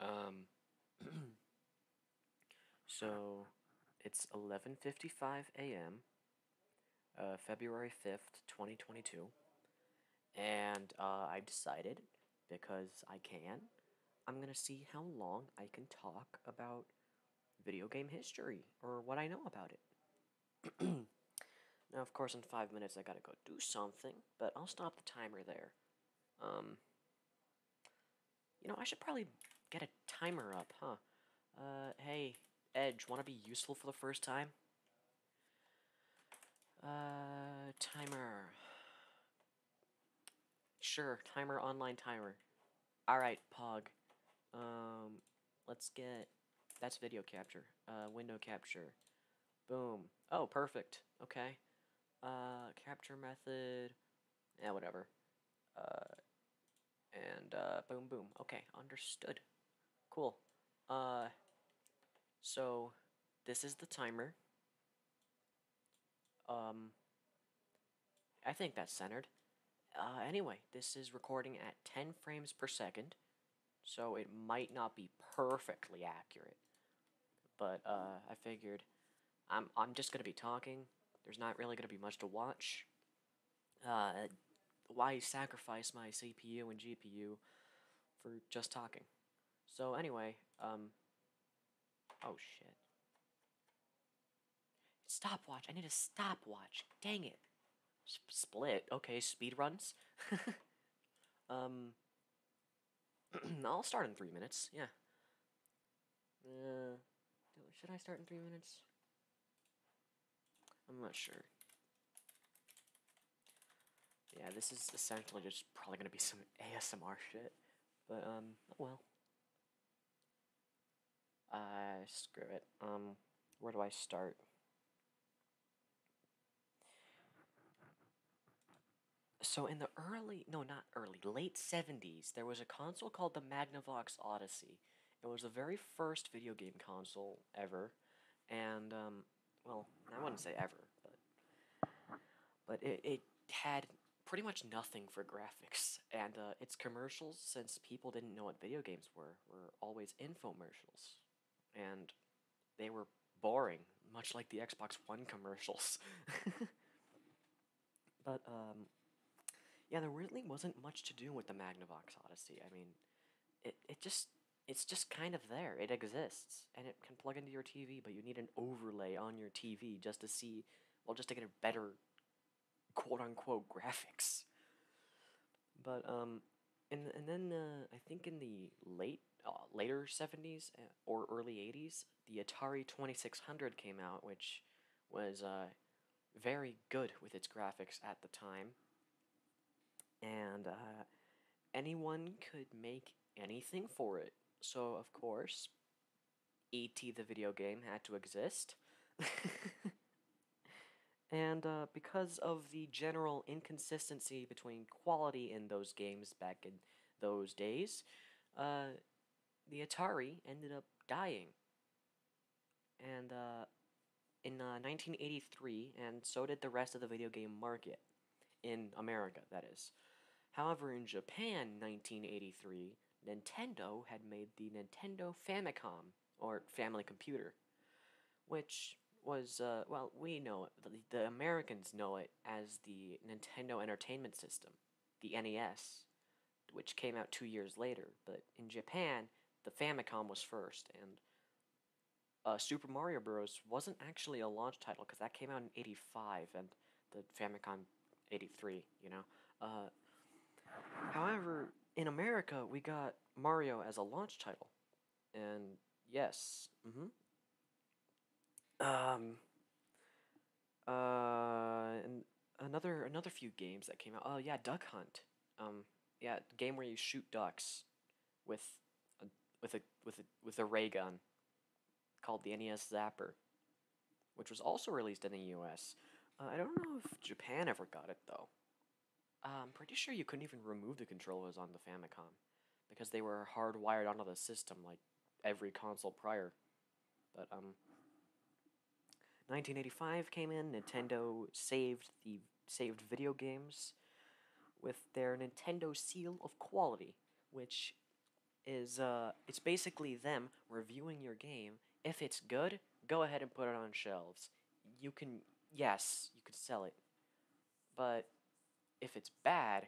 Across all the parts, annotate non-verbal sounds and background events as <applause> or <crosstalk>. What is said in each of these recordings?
Um, <clears throat> so it's 11:55 a.m. Uh, February 5th, 2022, and uh, I decided because I can, I'm gonna see how long I can talk about video game history or what I know about it. <clears throat> now, of course, in five minutes I gotta go do something, but I'll stop the timer there um, you know, I should probably get a timer up, huh? Uh, hey, Edge, want to be useful for the first time? Uh, timer. Sure, timer, online timer. Alright, Pog. Um, let's get... That's video capture. Uh, window capture. Boom. Oh, perfect. Okay. Uh, capture method. Yeah, whatever. Uh, and uh, boom, boom. Okay, understood. Cool. Uh, so this is the timer. Um, I think that's centered. Uh, anyway, this is recording at 10 frames per second, so it might not be perfectly accurate. But uh, I figured I'm I'm just gonna be talking. There's not really gonna be much to watch. Uh, why sacrifice my CPU and GPU for just talking? So anyway, um, oh shit. Stopwatch. I need a stopwatch. Dang it. split. Okay, speed runs. <laughs> um, <clears throat> I'll start in three minutes, yeah. Uh, should I start in three minutes? I'm not sure. Yeah, this is essentially just probably gonna be some ASMR shit, but um, oh well. Uh, screw it. Um, where do I start? So in the early, no, not early, late 70s, there was a console called the Magnavox Odyssey. It was the very first video game console ever, and um, well, I wouldn't say ever, but but it, had pretty much nothing for graphics, and uh, its commercials, since people didn't know what video games were, were always infomercials, and they were boring, much like the Xbox One commercials. <laughs> but um, yeah, there really wasn't much to do with the Magnavox Odyssey. I mean, it it just it's just kind of there. It exists, and it can plug into your TV, but you need an overlay on your TV just to see, well, just to get a better, quote unquote, graphics. But um, and and then uh, I think in the late uh, later seventies, or early 80s, the Atari 2600 came out, which was uh, very good with its graphics at the time. And uh, anyone could make anything for it. So, of course, E.T. the video game had to exist. <laughs> and uh, because of the general inconsistency between quality in those games back in those days, uh, the Atari ended up dying. And uh, in 1983, uh, and so did the rest of the video game market. In America, that is. However, in Japan, 1983, Nintendo had made the Nintendo Famicom, or Family Computer, which was, well, we know it. the Americans know it as the Nintendo Entertainment System, the NES, which came out two years later. But in Japan, the Famicom was first, and uh, Super Mario Bros. wasn't actually a launch title because that came out in '85, and the Famicom '83. You know. Uh, however, in America, we got Mario as a launch title, and yes, mm-hmm. Um, uh, and another another few games that came out. Oh yeah, Duck Hunt. Um, yeah, game where you shoot ducks with a, with a with a with a ray gun called the NES Zapper, which was also released in the U.S. Uh, I don't know if Japan ever got it though. I'm um, pretty sure you couldn't even remove the controllers on the Famicom because they were hardwired onto the system like every console prior. But um 1985 came in, Nintendo saved the saved video games with their Nintendo seal of quality, which is uh it's basically them reviewing your game. If it's good, go ahead and put it on shelves. You can yes, you could sell it. But if it's bad,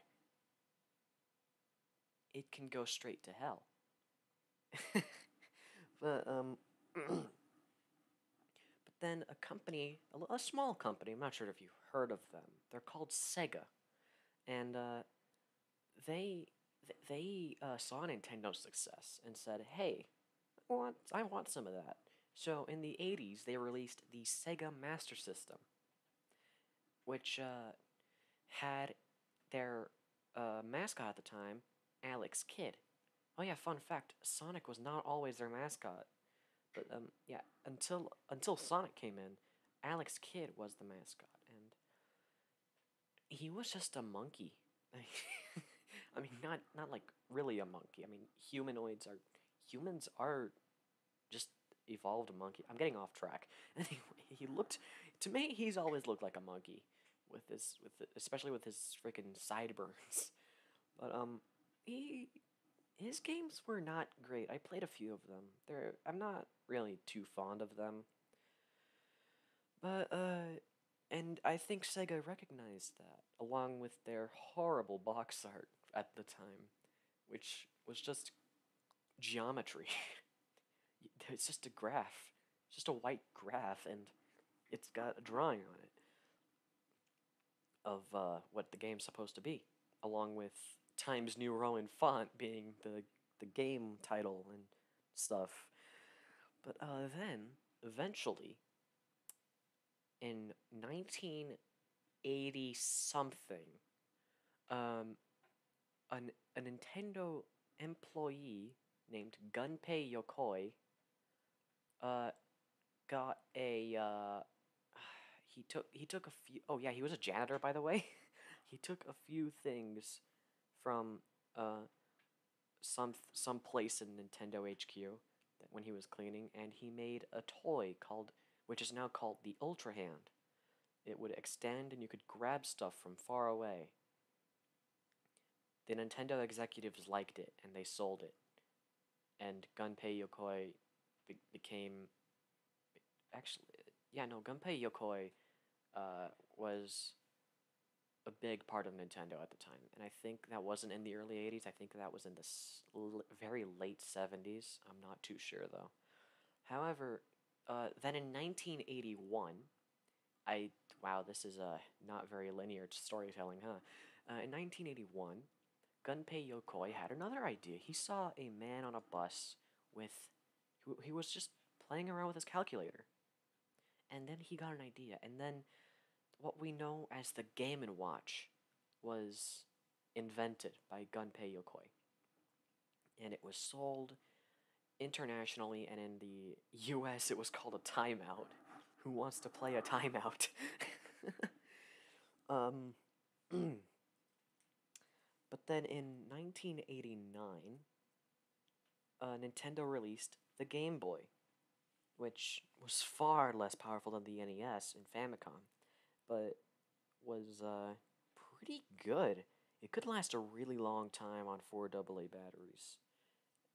it can go straight to hell. <laughs> but um, <clears throat> but then a company, a, small company, I'm not sure if you heard of them. They're called Sega, and uh, they they uh, saw Nintendo's success and said, "Hey, want I want some of that." So in the '80s, they released the Sega Master System, which uh, had their uh, mascot at the time, Alex Kidd. Oh yeah, fun fact: Sonic was not always their mascot, but um, yeah, until until Sonic came in, Alex Kidd was the mascot, and he was just a monkey. <laughs> I mean, not not like really a monkey. I mean, humanoids are humans are just evolved a monkey. I'm getting off track. <laughs> Anyway, he looked to me. He's always looked like a monkey with his with especially with his freaking sideburns. <laughs> But um, he his games were not great. I played a few of them. They're I'm not really too fond of them. But uh, and I think Sega recognized that along with their horrible box art at the time which was just geometry. <laughs> it's just a graph, it's just a white graph, and it's got a drawing on it of uh, what the game's supposed to be, along with Times New Roman font being the the game title and stuff. But uh, then eventually, in nineteen eighty something, um, an, a Nintendo employee named Gunpei Yokoi uh, got a. Uh, <sighs> he took he took a few. Oh yeah, he was a janitor by the way. <laughs> he took a few things from uh, some some place in Nintendo HQ when he was cleaning, and he made a toy called, which is now called the Ultra Hand. It would extend and you could grab stuff from far away. The Nintendo executives liked it and they sold it. And Gunpei Yokoi became. Actually, yeah, no, Gunpei Yokoi uh, was a big part of Nintendo at the time. And I think that wasn't in the early 80s. I think that was in the very late 70s. I'm not too sure, though. However, uh, then in 1981, I wow, this is a not very linear storytelling, huh? Uh, in 1981, Gunpei Yokoi had another idea. He saw a man on a bus with he was just playing around with his calculator, and then he got an idea. And then what we know as the Game and Watch was invented by Gunpei Yokoi. And it was sold internationally, and in the US, it was called a timeout. Who wants to play a timeout? <laughs> um, <clears throat> but then in 1989, uh, Nintendo released the Game Boy, which was far less powerful than the NES and Famicom, but was uh, pretty good. It could last a really long time on four AA batteries.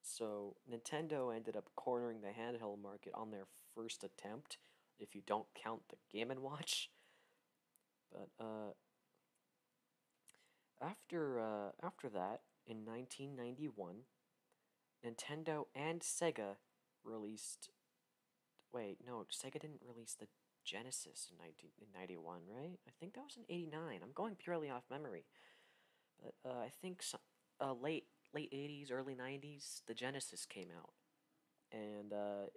So Nintendo ended up cornering the handheld market on their first attempt, if you don't count the Game & Watch. But uh, after, uh, after that, in 1991, Nintendo and Sega released Wait, no, Sega didn't release the Genesis in 1991, right? I think that was in 89. I'm going purely off memory. But uh, I think some, uh, late late 80s, early 90s, the Genesis came out. And uh,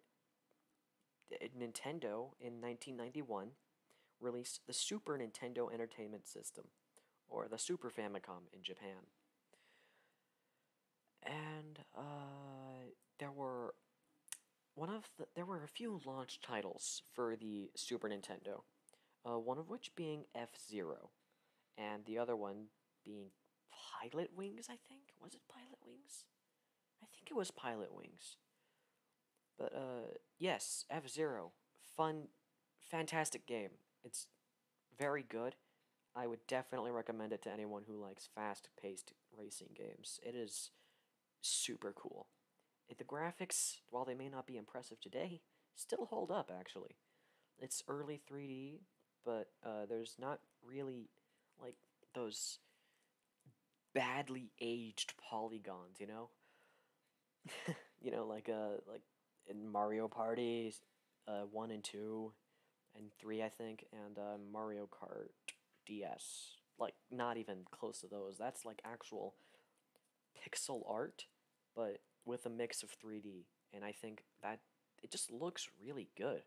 Nintendo in 1991 released the Super Nintendo Entertainment System, or the Super Famicom in Japan and uh, there were one of the, there were a few launch titles for the Super Nintendo, uh, one of which being F Zero, and the other one being Pilot Wings. I think was it Pilot Wings? I think it was Pilot Wings. But uh, yes, F Zero, fun, fantastic game. It's very good. I would definitely recommend it to anyone who likes fast paced racing games. It is super cool. The graphics, while they may not be impressive today, still hold up actually. It's early 3D, but uh, there's not really like those badly aged polygons, you know? <laughs> you know, like uh, like in Mario Party uh, 1 and 2, and three, I think, and uh, Mario Kart DS. Like not even close to those. That's like actual pixel art, but with a mix of 3D, and I think that it just looks really good.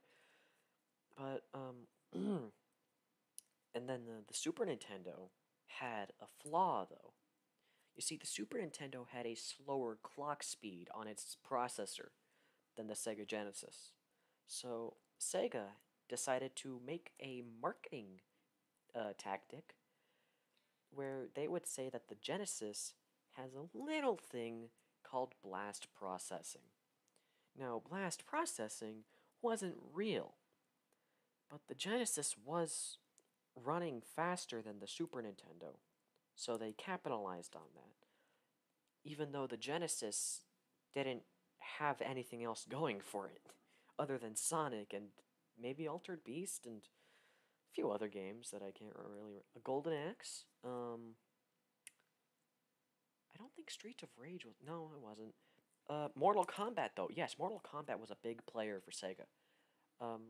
But um, <clears throat> and then the, the Super Nintendo had a flaw though. You see, the Super Nintendo had a slower clock speed on its processor than the Sega Genesis. So Sega decided to make a marketing uh, tactic where they would say that the Genesis has a little thing called blast processing. Now, blast processing wasn't real, but the Genesis was running faster than the Super Nintendo, so they capitalized on that even though the Genesis didn't have anything else going for it other than Sonic and maybe Altered Beast and a few other games that I can't really a Golden Axe. Um, I don't think Streets of Rage was no, it wasn't. Uh, Mortal Kombat though, yes, Mortal Kombat was a big player for Sega. Um,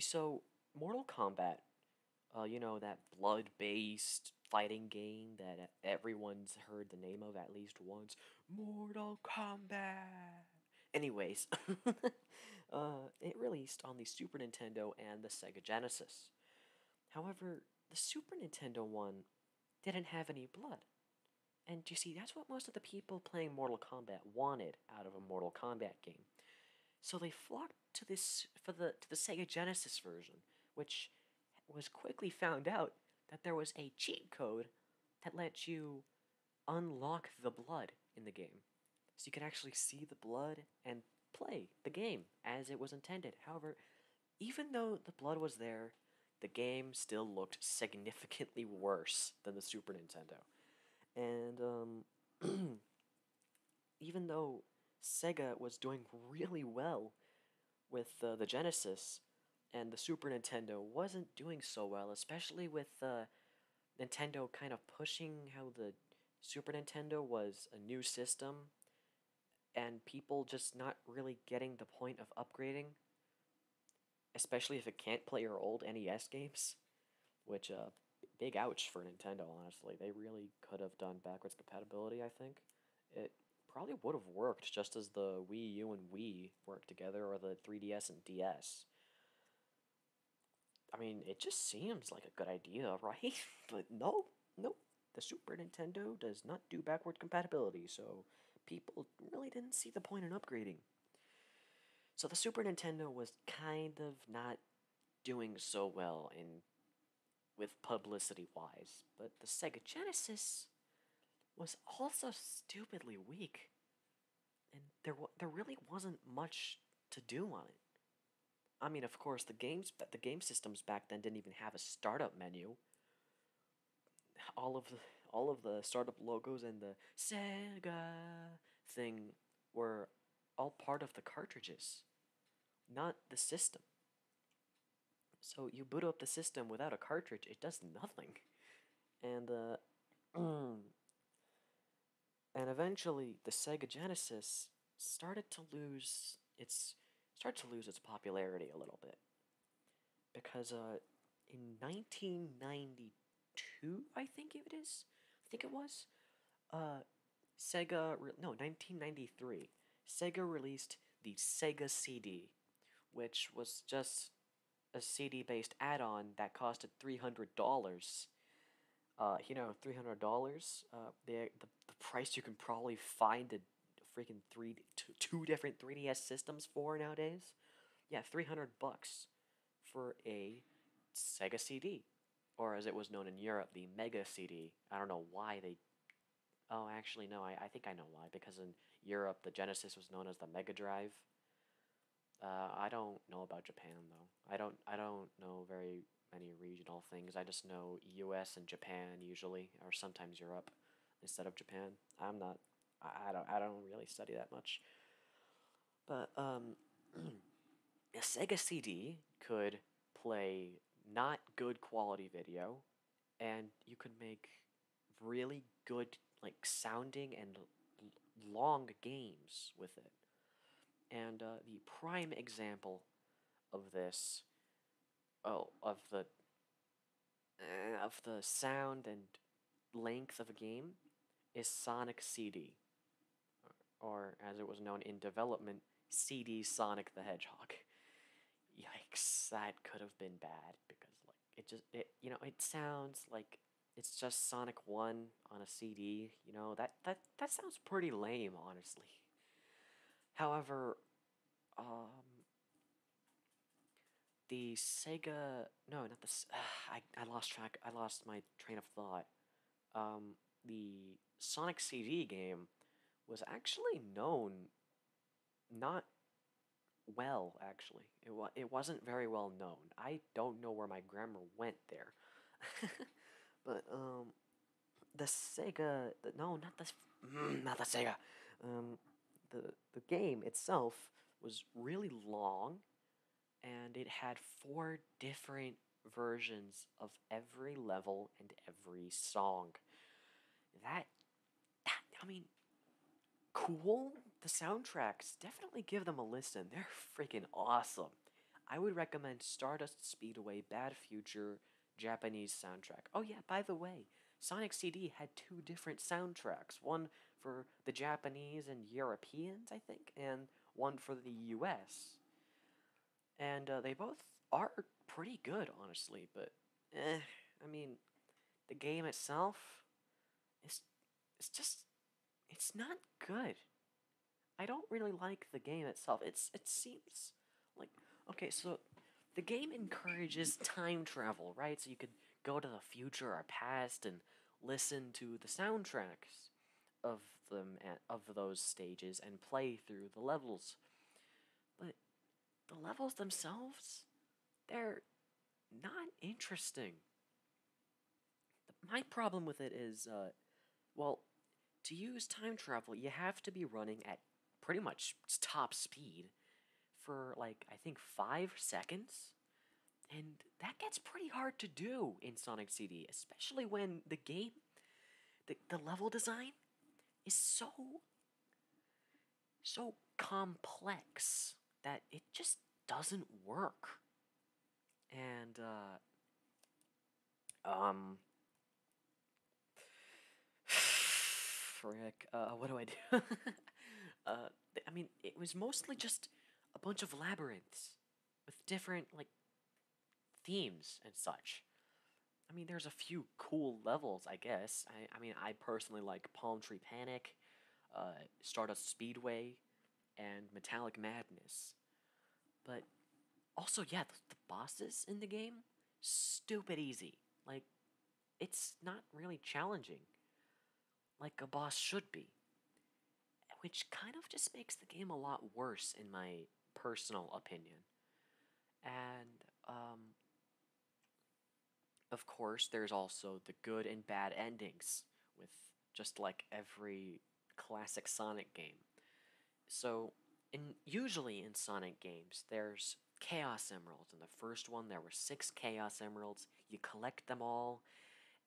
so Mortal Kombat uh, you know, that blood based fighting game that everyone's heard the name of at least once Mortal Kombat. Anyways, <laughs> uh, it released on the Super Nintendo and the Sega Genesis. However, the Super Nintendo one didn't have any blood. And you see, that's what most of the people playing Mortal Kombat wanted out of a Mortal Kombat game. So they flocked to this for the to the Sega Genesis version, which was quickly found out that there was a cheat code that let you unlock the blood in the game. So you could actually see the blood and play the game as it was intended. However, even though the blood was there, the game still looked significantly worse than the Super Nintendo. And um, <clears throat> even though Sega was doing really well with uh, the Genesis, and the Super Nintendo wasn't doing so well, especially with uh, Nintendo kind of pushing how the Super Nintendo was a new system and people just not really getting the point of upgrading, especially if it can't play your old NES games, which, a uh, big ouch for Nintendo, honestly. They really could have done backwards compatibility, I think. It probably would have worked just as the Wii U and Wii worked together, or the 3DS and DS. I mean, it just seems like a good idea, <laughs> right? but no, nope. The Super Nintendo does not do backward compatibility, so people really didn't see the point in upgrading. So the Super Nintendo was kind of not doing so well in with publicity wise, but the Sega Genesis was also stupidly weak, and there there really wasn't much to do on it. I mean, of course, the games the game systems back then didn't even have a startup menu. All of the all of the startup logos and the Sega thing were all part of the cartridges, not the system. So you boot up the system without a cartridge, it does nothing. And uh, <clears throat> and eventually the Sega Genesis started to lose its started to lose its popularity a little bit. Because uh, in 1992, I think it is, I think it was, uh, Sega, no, 1993, Sega released the Sega CD, which was just a CD based add on that costed $300. Uh, you know, three hundred dollars. Uh, the, the the price you can probably find a freaking three two, two different three DS systems for nowadays. Yeah, three hundred bucks for a Sega CD or as it was known in Europe, the Mega CD. I don't know why they. Oh, actually, no, I, I think I know why. Because in Europe, the Genesis was known as the Mega Drive. Uh, I don't know about Japan though. I don't. I don't know very many regional things. I just know U.S. and Japan usually, or sometimes Europe, instead of Japan. I'm not. I, don't. I don't really study that much. But um, <clears throat> a Sega CD could play not good quality video and you could make really good like sounding and long games with it. And uh, the prime example of this, oh, of the uh, of the sound and length of a game, is Sonic CD or as it was known in development, CD Sonic the Hedgehog. Yikes, that could have been bad because like it just it you know, it sounds like it's just Sonic 1 on a CD, you know. That that that sounds pretty lame, honestly. However, um the Sega no, not this <sighs> I I lost track. I lost my train of thought um, the Sonic CD game was actually known not well actually it, wa- it wasn't very well known i don't know where my grammar went there <laughs> but um the sega no not the mm, not the sega um the the game itself was really long and it had four different versions of every level and every song. That, that I mean, cool. The soundtracks definitely give them a listen. They're <laughs> freaking awesome. I would recommend Stardust Speedway Bad Future Japanese soundtrack. Oh yeah, by the way, Sonic CD had two different soundtracks. One for the Japanese and Europeans, I think, and one for the US and uh, they both are pretty good, honestly. But eh, I mean, the game itself, is it's just it's not good. I don't really like the game itself. It's it seems like okay, so the game encourages time travel, right? So you could go to the future or past and listen to the soundtracks of them of those stages and play through the levels. But the levels themselves, they're not interesting. My problem with it is, uh, well, to use time travel, you have to be running at pretty much top speed for like, I think, five seconds. And that gets pretty hard to do in Sonic CD, especially when the game, the, the level design, is so so complex that it just doesn't work. And uh, um, frick, <sighs> uh, what do I do? <laughs> uh, I mean, it was mostly just a bunch of labyrinths with different like themes and such. I mean, there's a few cool levels, I guess. I, mean, I personally like Palm Tree Panic, uh, Stardust Speedway, and Metallic Madness. But also, yeah, the bosses in the game, stupid easy. Like, it's not really challenging, like a boss should be. Which kind of just makes the game a lot worse, in my personal opinion. And um, of course, there's also the good and bad endings, with just like every classic Sonic game. So, in, usually in Sonic games, there's Chaos Emeralds. In the first one, there were six Chaos Emeralds. You collect them all,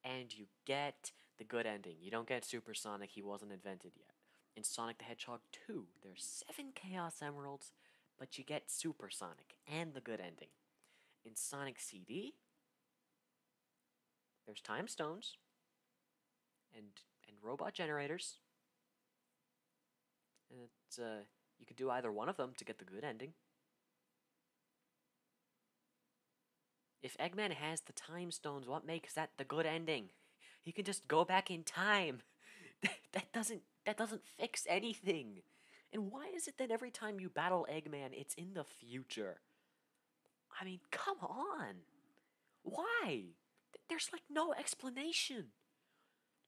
and you get the good ending. You don't get Super Sonic. he wasn't invented yet. In Sonic the Hedgehog 2, there's 7 Chaos Emeralds, but you get Super Sonic and the good ending. In Sonic CD, there's time stones and and robot generators. And uh, you could do either one of them to get the good ending. If Eggman has the time stones, what makes that the good ending? You can just go back in time. <laughs> That, doesn't that doesn't fix anything. And why is it that every time you battle Eggman, it's in the future? I mean, come on. Why? There's like no explanation.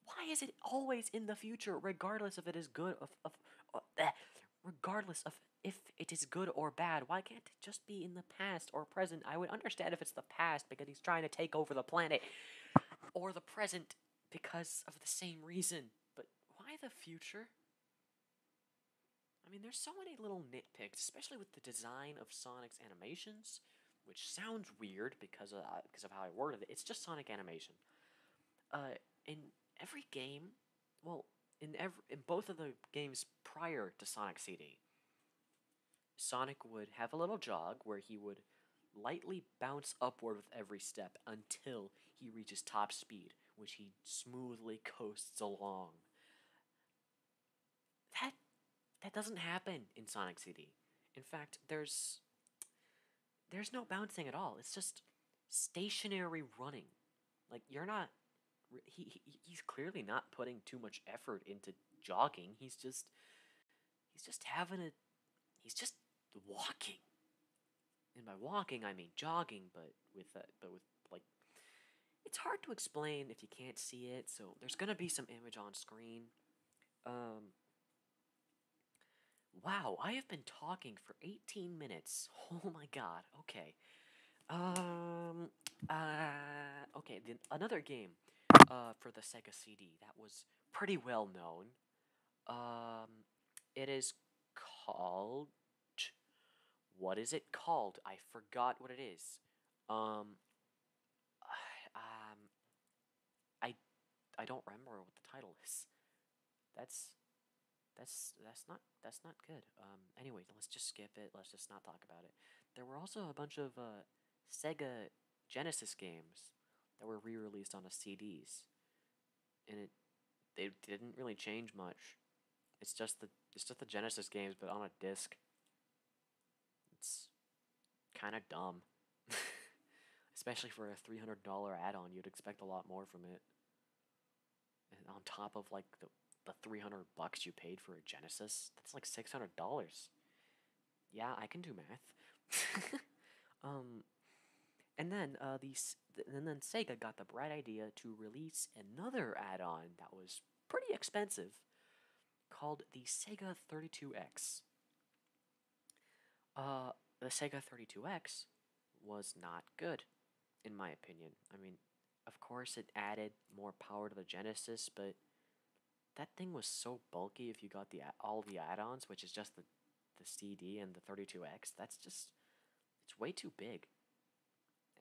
Why is it always in the future, regardless of it is good of, of, of uh, eh, regardless of if it is good or bad? Why can't it just be in the past or present. I would understand if it's the past because he's trying to take over the planet, or the present because of the same reason. But why the future? I mean, there's so many little nitpicks, especially with the design of Sonic's animations, which sounds weird because of, uh, because of how I worded it. It's just Sonic animation. Uh, in every game, well, in every in both of the games prior to Sonic CD, Sonic would have a little jog where he would lightly bounce upward with every step until he reaches top speed, which he smoothly coasts along. That that doesn't happen in Sonic CD. In fact, there's there's no bouncing at all. It's just stationary running. Like you're not he, he he's clearly not putting too much effort into jogging. He's just he's just having it. he's just walking. And by walking, I mean jogging, but with a, but with like it's hard to explain if you can't see it. So there's gonna be some image on screen. Um. Wow, I have been talking for 18 minutes. <laughs> Oh my god. Okay. Um. Uh. Okay. Then another game uh, for the Sega CD that was pretty well known. Um, it is called. What is it called? I forgot what it is. Um, <sighs> um, I, I don't remember what the title is. That's, that's that's not that's not good. Um, anyway, let's just skip it. Let's just not talk about it. There were also a bunch of uh, Sega Genesis games that were re-released on a CDs, and it they didn't really change much. It's just the it's just the Genesis games, but on a disc. It's kind of dumb, <laughs> especially for a three hundred dollar add-on. You'd expect a lot more from it, on top of like the the three hundred bucks you paid for a Genesis, that's like six hundred dollars yeah, I can do math. <laughs> um, and then uh, these, and then Sega got the bright idea to release another add-on that was pretty expensive, called the Sega 32X. Uh, the Sega 32X was not good, in my opinion. I mean, of course, it added more power to the Genesis, but that thing was so bulky if you got the all the add-ons, which is just the the CD and the 32X. That's just it's way too big.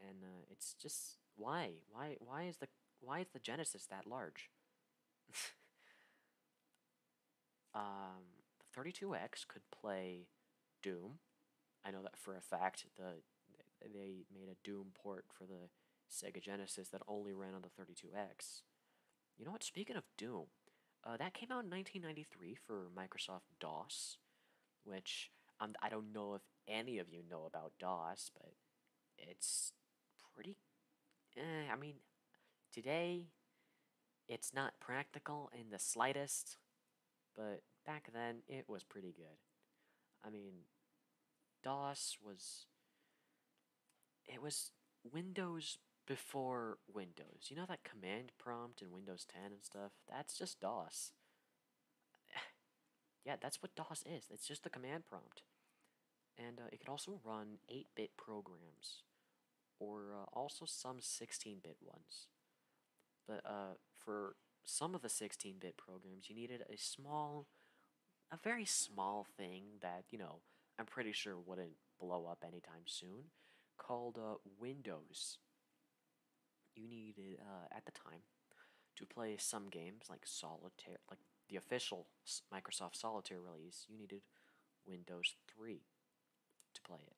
And uh, it's just why why why is the why is the Genesis that large? <laughs> um, the 32X could play Doom. I know that for a fact. The they made a Doom port for the Sega Genesis that only ran on the 32X. You know what? Speaking of Doom, uh, that came out in 1993 for Microsoft DOS, which um, I don't know if any of you know about DOS, but it's pretty. Eh, I mean, today it's not practical in the slightest, but back then it was pretty good. I mean, DOS was it was Windows before Windows. You know that command prompt in Windows 10 and stuff? That's just DOS. <sighs> yeah, that's what DOS is. It's just the command prompt. And uh, it could also run 8 bit programs, or uh, also some 16 bit ones. But uh, for some of the 16 bit programs, you needed a small a very small thing that, you know, I'm pretty sure wouldn't blow up anytime soon called uh, Windows. You needed, uh, at the time, to play some games like Solitaire, like the official Microsoft Solitaire release, you needed Windows 3 to play it.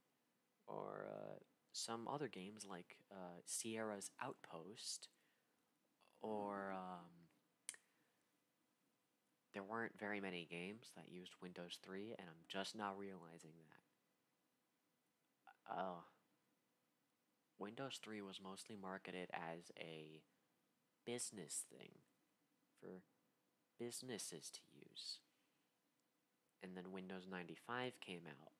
Or uh, some other games like uh, Sierra's Outpost or um, there weren't very many games that used Windows 3, and I'm just now realizing that. Oh. Windows 3 was mostly marketed as a business thing for businesses to use. And then Windows 95 came out.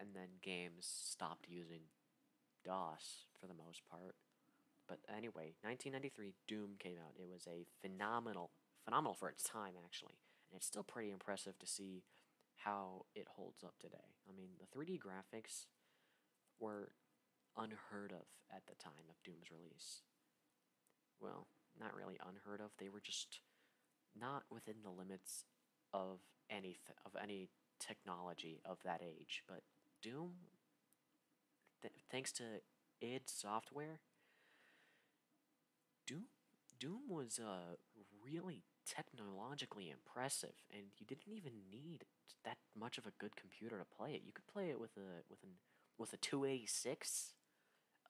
And then games stopped using on DOS for the most part. But anyway, 1993, Doom came out. It was a phenomenal, phenomenal for its time actually, and it's still pretty impressive to see how it holds up today. I mean, the 3D graphics were unheard of at the time of Doom's release. Well, not really unheard of. They were just not within the limits of any of any technology of that age. But Doom, thanks to id Software, Doom Doom was uh, really technologically impressive, and you didn't even need that much of a good computer to play it. You could play it with a with an with a two eighty six.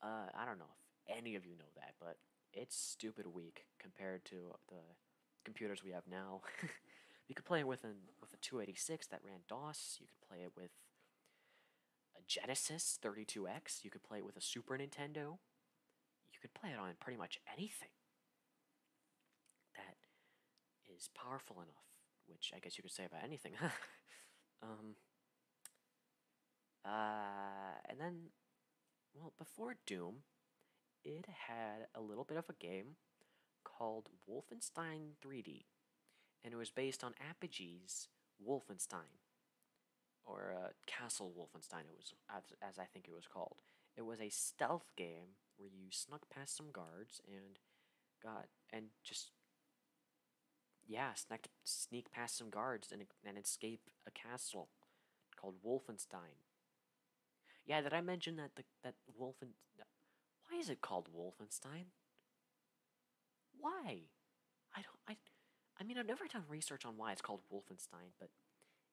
Uh, I don't know if any of you know that, but it's stupid weak compared to the computers we have now. you <laughs> could play it with an with a 286 that ran DOS. You could play it with a Genesis 32X. You could play it with a Super Nintendo. You could play it on pretty much anything that is powerful enough, which I guess you could say about anything. <laughs> um, uh, and then, well, before Doom, it had a little bit of a game called Wolfenstein 3D, and it was based on Apogee's Wolfenstein, or uh, Castle Wolfenstein, it was as, I think it was called. It was a stealth game where you snuck past some guards and got and just yeah, snuck sneak past some guards and and escape a castle called Wolfenstein. Yeah, did I mention that the that Wolfen? Why is it called Wolfenstein? Why? I don't. I. I mean, I've never done research on why it's called Wolfenstein, but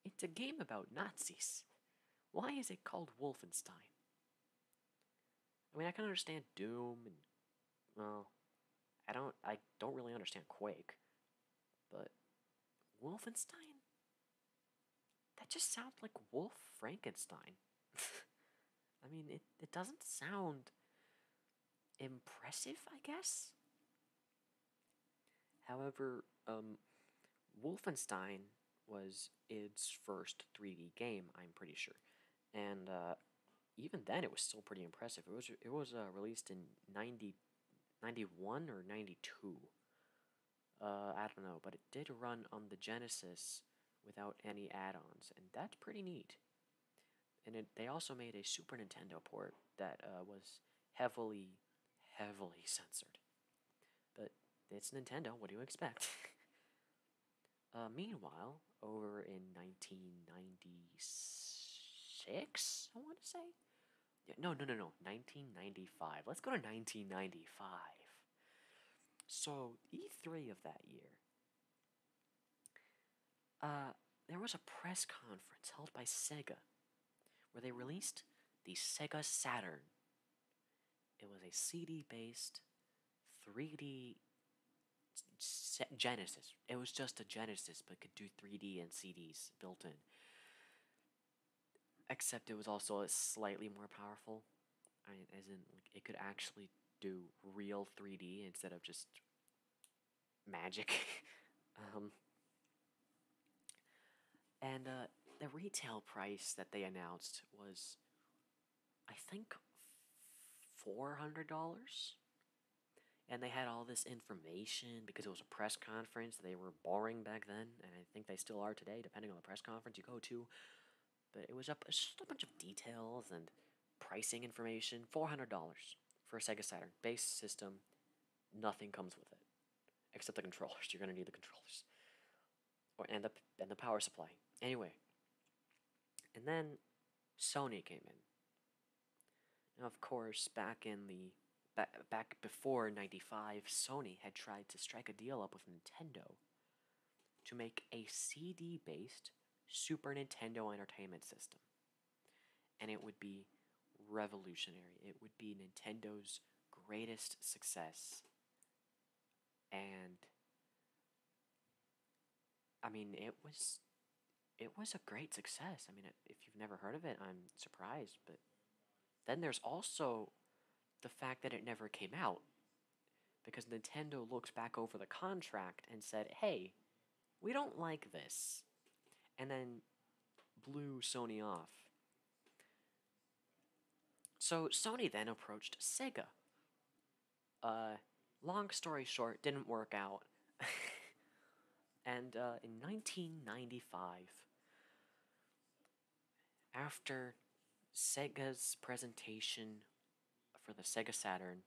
it's a game about Nazis. Why is it called Wolfenstein? I mean, I can understand Doom and well, I don't. I don't really understand Quake, but Wolfenstein. That just sounds like Wolf Frankenstein. <laughs> I mean, it, it doesn't sound impressive, I guess. However, um, Wolfenstein was its first 3D game, I'm pretty sure. And uh, even then, it was still pretty impressive. It was, it was uh, released in 90, or 92. Uh, I don't know, but it did run on the Genesis without any add-ons, and that's pretty neat. And it, they also made a Super Nintendo port that uh, was heavily, heavily <laughs> censored. But it's Nintendo. What do you expect? <laughs> uh, meanwhile, over in 1996, I want to say. no, no, no, no. 1995. Let's go to 1995. So, E3 of that year, uh, there was a press conference held by Sega where they released the Sega Saturn. It was a CD based 3D Genesis. It was just a Genesis, but could do 3D and CDs built in except it was also slightly more powerful. I as in, it could actually do real 3D instead of just magic. <laughs> um, and uh, the retail price that they announced was, I think, $400. And they had all this information because it was a press conference. They were boring back then, and think they still are today, depending on the press conference you go to. But it was up just a bunch of details and pricing information. Four hundred dollars for a Sega Saturn base system. Nothing comes with it except the controllers. <laughs> You're gonna need the controllers, or and the and the power supply. Anyway, and then Sony came in. Now, of course, back in the back, back before 95, Sony had tried to strike a deal up with Nintendo to make a CD based Super Nintendo Entertainment System. And it would be revolutionary. It would be Nintendo's greatest success. And I mean, it was it was a great success. I mean, if you've never heard of it, I'm surprised, but then there's also the fact that it never came out because Nintendo looked back over the contract and said, hey, we don't like this. And then blew Sony off. So Sony then approached Sega. Uh, long story short, didn't work out. <laughs> and uh, in 1995, after Sega's presentation for the Sega Saturn,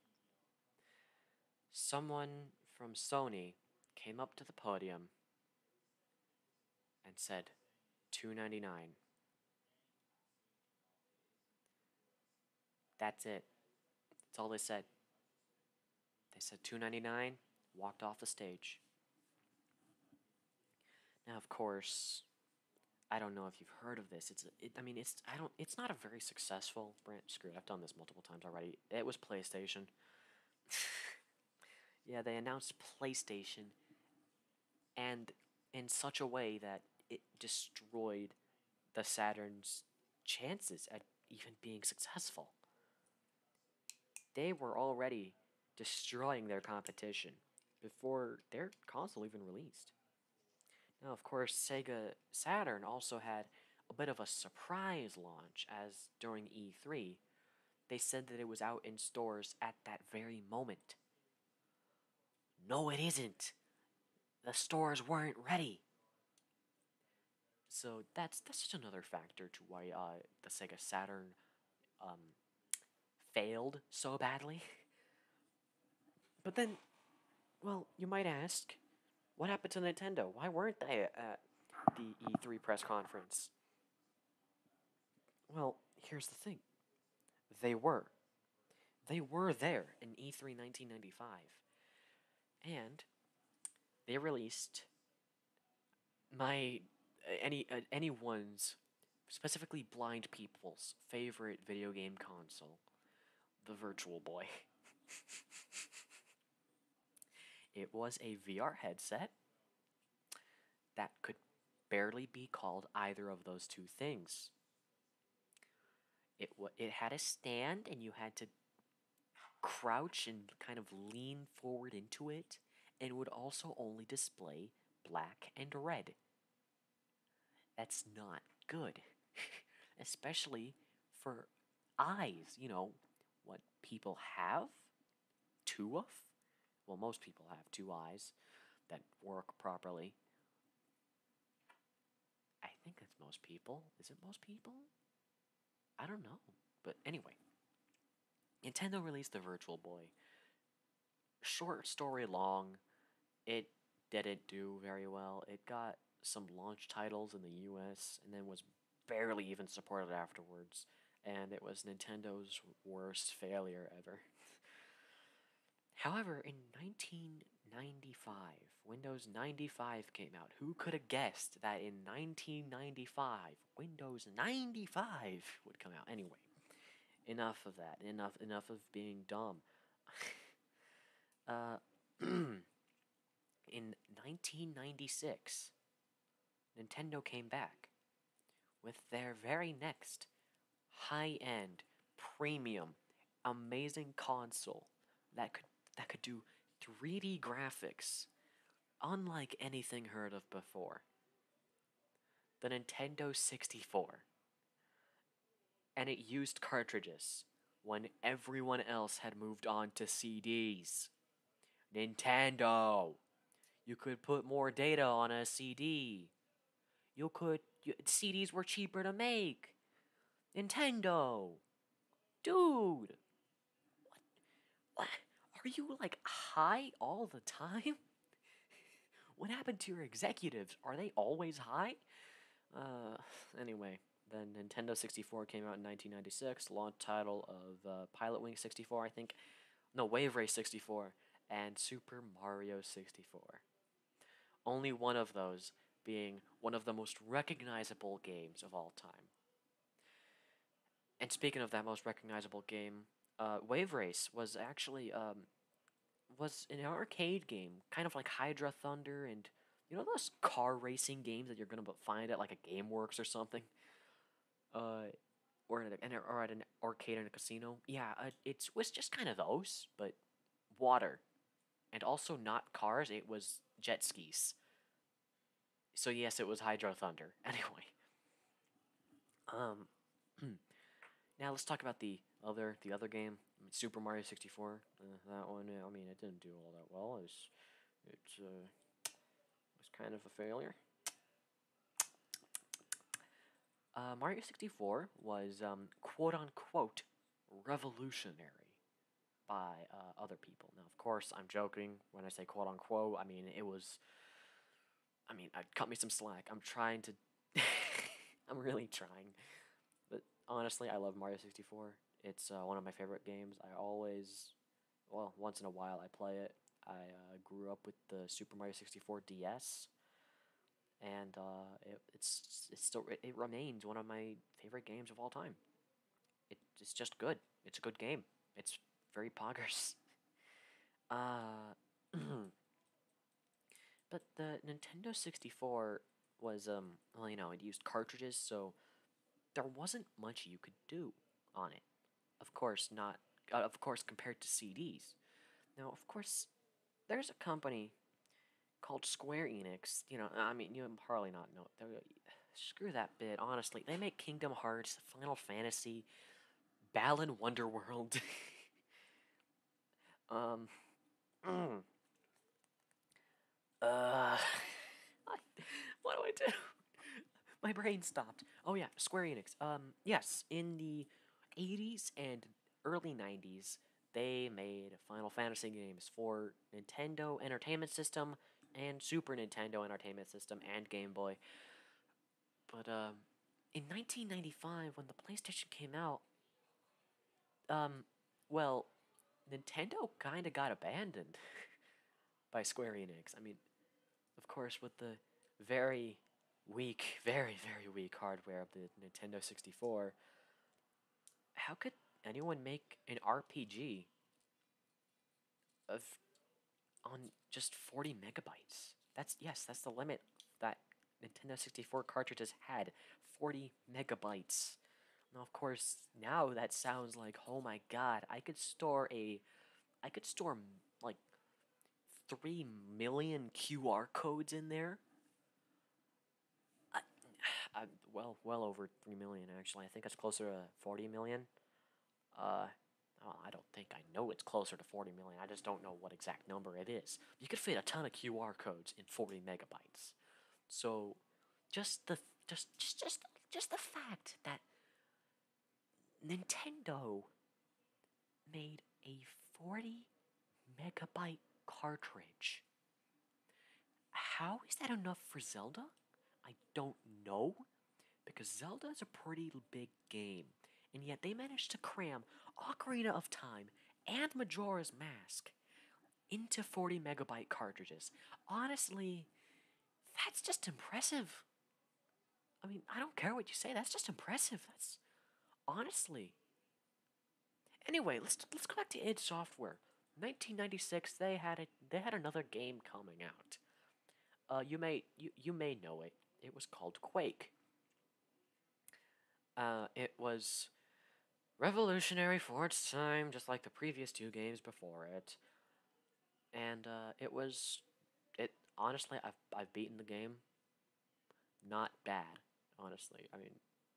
someone from Sony came up to the podium and said 299 That's it. That's all they said. They said 299, walked off the stage. Now, of course, I don't know if you've heard of this. It's I mean it's I don't it's not a very successful brand. Screw I've done this multiple times already. It was PlayStation. <laughs> yeah, they announced PlayStation, and in such a way that it destroyed the Saturn's chances at even being successful. They were already destroying their competition before their console even released. Now, of course, Sega Saturn also had a bit of a surprise launch, as during E3, they said that it was out in stores at that very moment. No, it isn't! The stores weren't ready! So that's that's just another factor to why uh, the Sega Saturn um, failed so badly. But then, well, you might ask, what happened to Nintendo? Why weren't they at the E3 press conference? Well, here's the thing they were. They were there in E3 1995. And they released my uh, any uh, anyone's specifically blind people's favorite video game console, the Virtual Boy. <laughs> it was a VR headset that could barely be called either of those two things. It it had a stand and you had to crouch and kind of lean forward into it and would also only display black, and red. That's not good, <laughs> especially for eyes. You know what people have? Two of? Well, most people have two eyes that work properly. I think that's most people. Is it most people? I don't know. But anyway, Nintendo released the Virtual Boy short story long, it didn't do very well. It got some launch titles in the US and then was barely even supported afterwards. And it was Nintendo's worst failure ever. <laughs> However, in 1995, Windows 95 came out. Who could have guessed that in 1995, Windows 95 would come out. Anyway, enough of that. Enough enough of being dumb. <laughs> uh, <clears throat> in 1996, Nintendo came back with their very next high-end, premium, amazing console that could that could do 3D graphics unlike anything heard of before the Nintendo 64. And it used cartridges when everyone else had moved on to CDs. Nintendo! You could put more data on a CD. You could. CDs were cheaper to make. Nintendo! Dude! What? What? Are you like high all the time? what happened to your executives? Are they always high? Uh, anyway, the Nintendo 64 came out in 1996, launch title of uh, Pilot Wing 64, I think. No, Wave Race 64 and Super Mario 64. Only one of those being one of the most recognizable games of all time. And speaking of that most recognizable game, uh, Wave Race was actually um, was an arcade game, kind of like Hydra Thunder and you know those car racing games that you're gonna find at like a GameWorks or something, uh, or at an, or at an arcade in a casino. Yeah, uh, it was just kind of those, but water, and also not cars. It was jet skis. So yes, it was Hydra Thunder. <laughs> Anyway, um, <clears throat> now let's talk about the other the other game, Super Mario 64. Uh, that one, I mean, it didn't do all that well. It's it's uh, it was kind of a failure. Uh, Mario 64 was um, quote unquote revolutionary by uh, other people. Now, of course, I'm joking when I say quote unquote. I mean, it was I mean, I uh, cut me some slack. I'm trying to. <laughs> I'm really trying. But honestly, I love Mario 64. It's uh, one of my favorite games. I always, well, once in a while, I play it. I uh, grew up with the Super Mario 64 DS, and uh, it, still it, remains one of my favorite games of all time. It, it's just good. It's a good game. It's very <laughs> poggers. Uh, <clears throat> But the Nintendo 64 was, um, well, you know, it used cartridges, so there wasn't much you could do on it. Of course, not, uh, of course, compared to CDs. Now, of course, there's a company called Square Enix. You know, I mean, you probably not know. Uh, screw that bit, honestly. They make Kingdom Hearts, Final Fantasy, Balin World. <laughs> um. Mm. Uh. <laughs> what do I do? My brain stopped. Oh yeah, Square Enix. Um. Yes, in the '80s and early '90s, they made Final Fantasy games for Nintendo Entertainment System and Super Nintendo Entertainment System and Game Boy. But um, in 1995, when the PlayStation came out, um, well, Nintendo kind of got abandoned <laughs> by Square Enix. I mean, of course, with the very weak, <laughs> very, very weak hardware of the Nintendo 64, how could anyone make an RPG of on just 40 megabytes. That's yes, that's the limit that Nintendo 64 cartridges had 40 megabytes. Now, of course, now that sounds like oh my god, I could store a, I could store like three million QR codes in there. I, <sighs> well, well over three million actually. I think it's closer to 40 million. Uh, well, I don't think I know it's closer to 40 million. I just don't know what exact number it is. You could fit a ton of QR codes in 40 megabytes. So just the just just just, just the fact that Nintendo made a 40 megabyte cartridge. How is that enough for Zelda? I don't know because Zelda is a pretty big game, and yet they managed to cram Ocarina of Time and Majora's Mask into 40 megabyte cartridges. Honestly, that's just impressive. I mean, I don't care what you say, that's just impressive. That's honestly. Anyway, let's let's go back to id Software. 1996, they had a, they had another game coming out. Uh, you may you, you may know it. It was called Quake. Uh, it was revolutionary for its time, just like the previous two games before it. And uh, it was, it honestly, I've I've beaten the game. Not bad, honestly. I mean,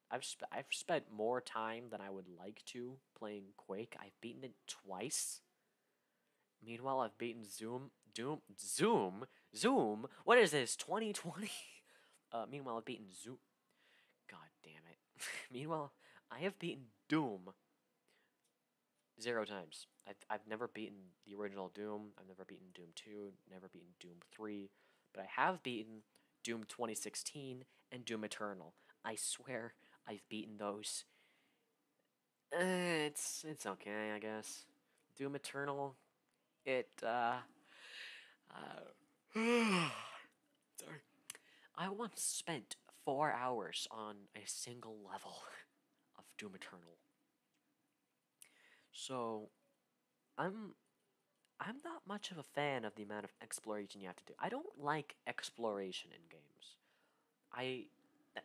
I've sp- I've spent more time than I would like to playing Quake. I've beaten it twice. Meanwhile, I've beaten Zoom, Doom, Zoom, Zoom. What is this? 2020. <laughs> Uh, meanwhile, I've beaten Zoom. God damn it. <laughs> meanwhile, I have beaten Doom zero times. I've, I've never beaten the original Doom. I've never beaten Doom 2, never beaten Doom 3. But I have beaten Doom 2016 and Doom Eternal. I swear I've beaten those Eh, it's it's okay, I guess. Doom Eternal, it uh, uh <sighs> sorry. I once spent four hours on a single level <laughs> of Doom Eternal. So, I'm I'm not much of a fan of the amount of exploration you have to do. I don't like exploration in games. I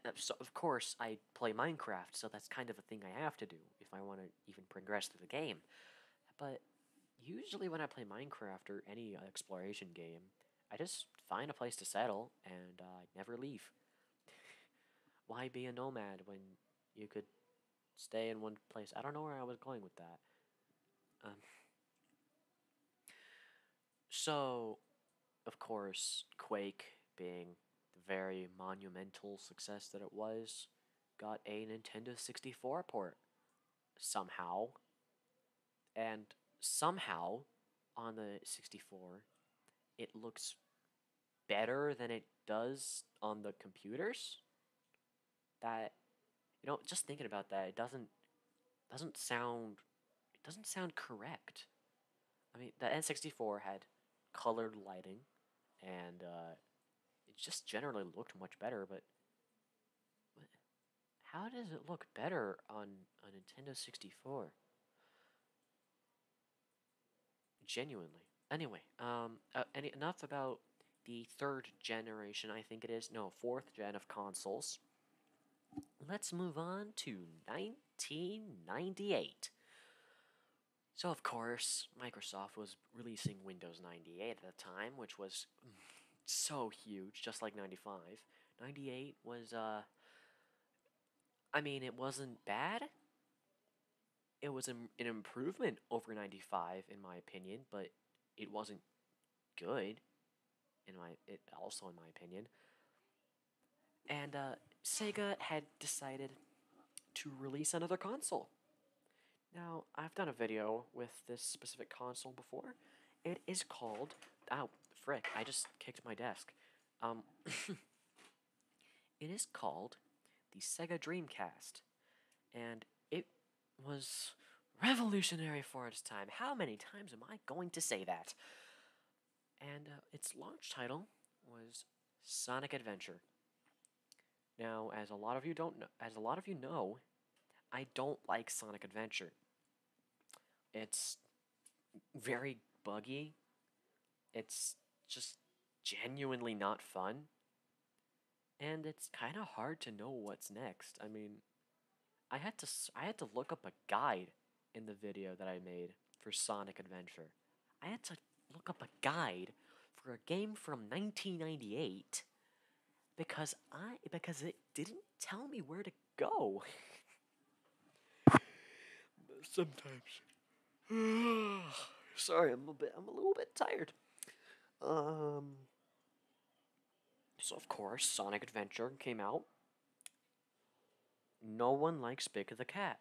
uh, so of course I play Minecraft, so that's kind of a thing I have to do if I want to even progress through the game. But usually when I play Minecraft or any exploration game, I just find a place to settle and uh, I never leave. <laughs> Why be a nomad when you could stay in one place? I don't know where I was going with that. Um, <laughs> so, of course, Quake being the very monumental success that it was, got a Nintendo 64 port somehow. And somehow on the 64, it looks better than it does on the computers. That you know, just thinking about that, it doesn't doesn't sound it doesn't sound correct. I mean, the N64 had colored lighting, and uh, it just generally looked much better. But how does it look better on a Nintendo 64? Genuinely. Anyway, um, uh, any, enough about the third generation, I think it is. No, fourth gen of consoles. Let's move on to 1998. So, of course, Microsoft was releasing Windows 98 at the time, which was so huge, just like 95. 98 was, uh, I mean, it wasn't bad. It was an improvement over 95, in my opinion, but it wasn't good, in my, it, also in my opinion. And uh, Sega had decided to release another console. Now, I've done a video with this specific console before. It is called... called—oh frick, I just kicked my desk. Um, <laughs> it is called the Sega Dreamcast. And it was revolutionary for its time. How many times am I going to say that? and uh, its launch title was Sonic Adventure. Now, as a lot of you don't know, as a lot of you know, I don't like Sonic Adventure. It's very buggy. It's just genuinely not fun. And it's kind of hard to know what's next. I mean, I had to I had to look up a guide in the video that I made for Sonic Adventure. I had to look up a guide for a game from 1998 because I because it didn't tell me where to go. <laughs> Sometimes. <sighs> Sorry, I'm a bit I'm a little bit tired. Um so of course, Sonic Adventure came out. No one likes Big the Cat.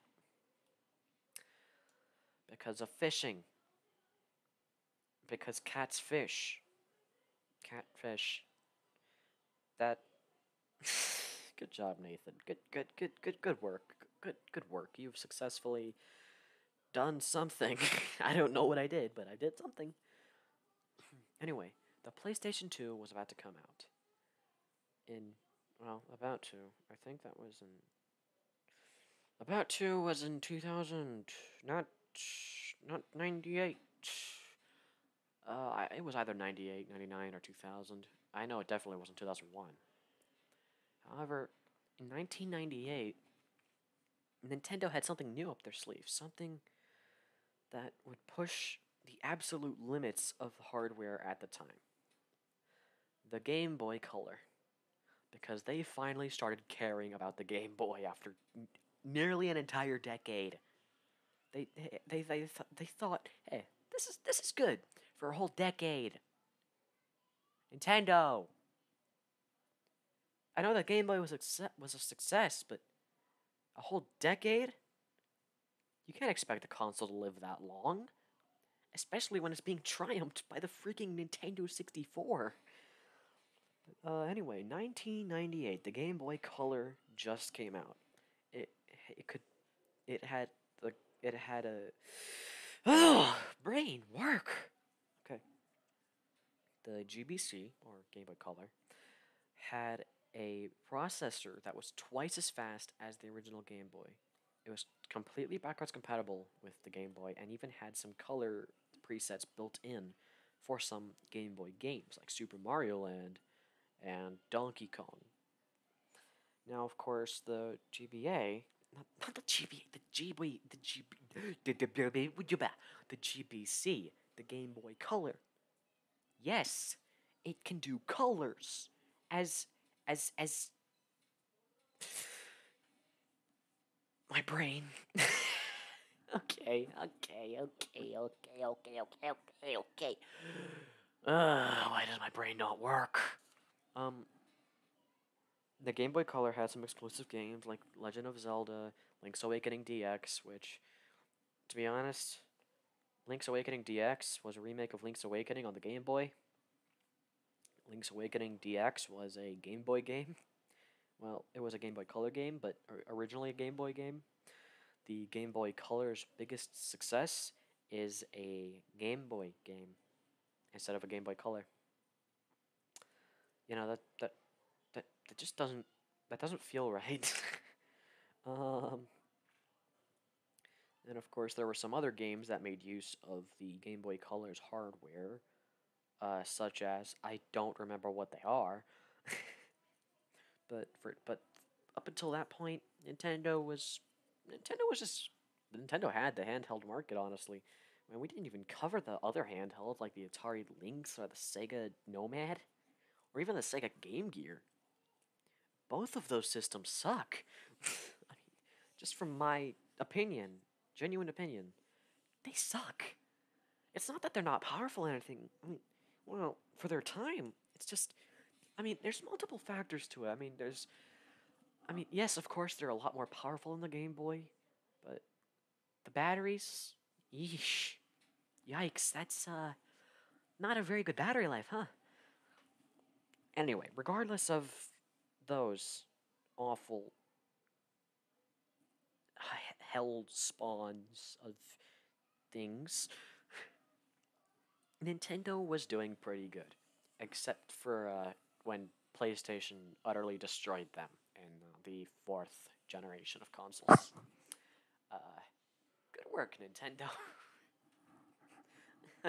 Because of fishing. Because cats fish. Catfish. That. <laughs> good job, Nathan. Good, good, good, good, good work. Good, good work. You've successfully done something. <laughs> I don't know what I did, but I did something. <clears throat> anyway, the PlayStation 2 was about to come out in well, about two, I think that was in about two was in two thousand, not not ninety eight. Uh, it was either 98, 99, or 2000. I know it definitely wasn't 2001. However, in 1998, Nintendo had something new up their sleeve, something that would push the absolute limits of hardware at the time. The Game Boy Color. Because they finally started caring about the Game Boy after nearly an entire decade. They they they they thought, hey, this is this is good for a whole decade. Nintendo. I know the Game Boy was was a success, but a whole decade. You can't expect a console to live that long, especially when it's being <laughs> triumphed by the freaking Nintendo 64. Uh, anyway, 1998, the Game Boy Color just came out. It it could it had the it had a oh, <sighs> brain work. Okay. The GBC or Game Boy Color had a processor that was twice as fast as the original Game Boy. It was completely backwards compatible with the Game Boy and even had some color presets built in for some Game Boy games like Super Mario Land and Donkey Kong. Now, of course, the GBA, not, the GBA, the GB, the GB, the, the, the GBC, the Game Boy Color. Yes, it can do colors as as as my brain. <laughs> okay, okay, okay, okay, okay, okay, okay, okay. Uh, why does my brain not work? Um, the Game Boy Color had some explosive games like Legend of Zelda, Link's Awakening DX, which, to be honest, Link's Awakening DX was a remake of Link's Awakening on the Game Boy. Link's Awakening DX was a Game Boy game. Well, it was a Game Boy Color game, but originally a Game Boy game. The Game Boy Color's biggest success is a Game Boy game instead of a Game Boy Color. You know that that that, that just doesn't that doesn't feel <laughs> right. Um, and of course, there were some other games that made use of the Game Boy Color's hardware, uh, such as I don't remember what they are, <laughs> but for but up until that point, Nintendo was Nintendo was just Nintendo had the handheld market. Honestly, Man, we didn't even cover the other handhelds like the Atari Lynx or the Sega Nomad, or even the Sega Game Gear both of those systems suck. <laughs> I mean, just from my opinion, genuine opinion, they suck. It's not that they're not powerful or anything. I mean, well, for their time, it's just. I mean, there's multiple factors to it. I mean, there's. I mean, yes, of course, they're a lot more powerful than the Game Boy, but the batteries, yeesh, yikes, that's uh, not a very good battery life, huh? Anyway, regardless of those awful held spawns of things, <laughs> Nintendo was doing pretty good, except for uh, when PlayStation utterly destroyed them in the fourth generation of consoles. Uh, good work, Nintendo. <laughs> <laughs>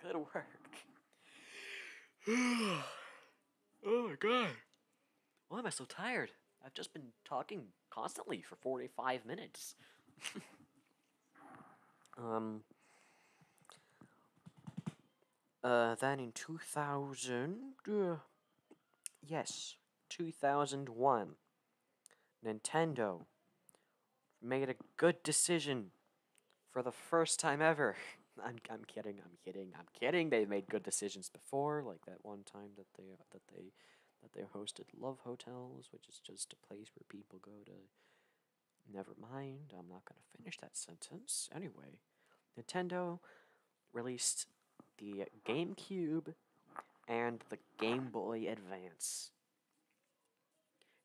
Good work. <sighs> oh my god. Why am I so tired? I've just been talking constantly for 45 minutes. <laughs> um. Uh, then in 2000. Uh, yes, 2001. Nintendo made a good decision for the first time ever. <laughs> I'm, I'm kidding, I'm kidding, I'm kidding. They have made good decisions before, like that one time that they that they that they hosted love hotels, which is just a place where people go to never mind, I'm not going to finish that sentence. Anyway, Nintendo released the GameCube and the Game Boy Advance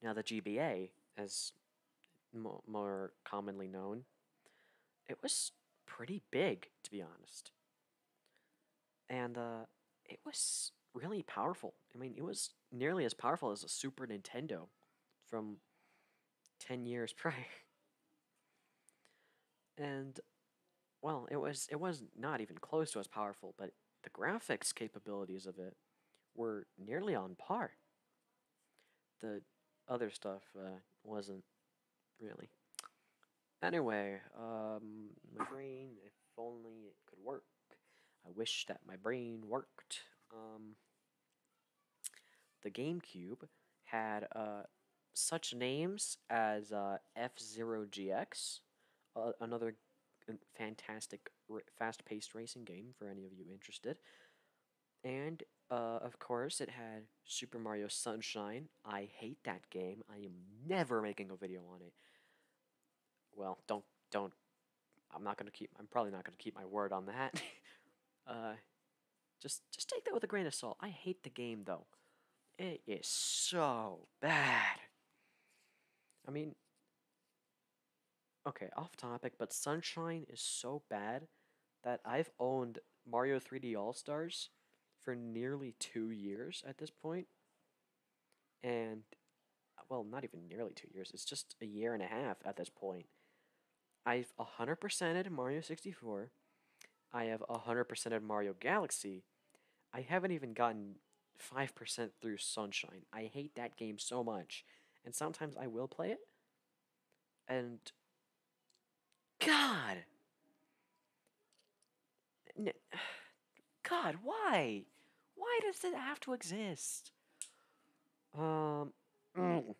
now the GBA, as more commonly known, it was pretty big, to be honest. And uh, it was really powerful. I mean, it was nearly as powerful as a Super Nintendo from 10 years <laughs> prior. and well, it was it was not even close to as powerful, but the graphics capabilities of it were nearly on par. The other stuff uh, wasn't really. Anyway, um, my brain, if only it could work. I wish that my brain worked. Um, the GameCube had uh, such names as uh, F Zero GX, another fantastic fast-paced racing game for any of you interested. And uh, of course, it had Super Mario Sunshine. I hate that game. I am never making a video on it. Well, don't don't. I'm not gonna keep. I'm probably not gonna keep my word on that. <laughs> uh, just just take that with a grain of salt. I hate the game though. It is so bad. I mean, Okay, off topic, but Sunshine is so bad that I've owned Mario 3D All Stars for nearly two years at this And, well, not even nearly two years, it's just a year and a half at this point. I've 100%ed percent Mario 64. I have 100%ed percent Mario Galaxy. I haven't even gotten 5% through Sunshine. I hate that game so much. And sometimes I will play it. And. God! God, why? Why does it have to exist? Um. Mm.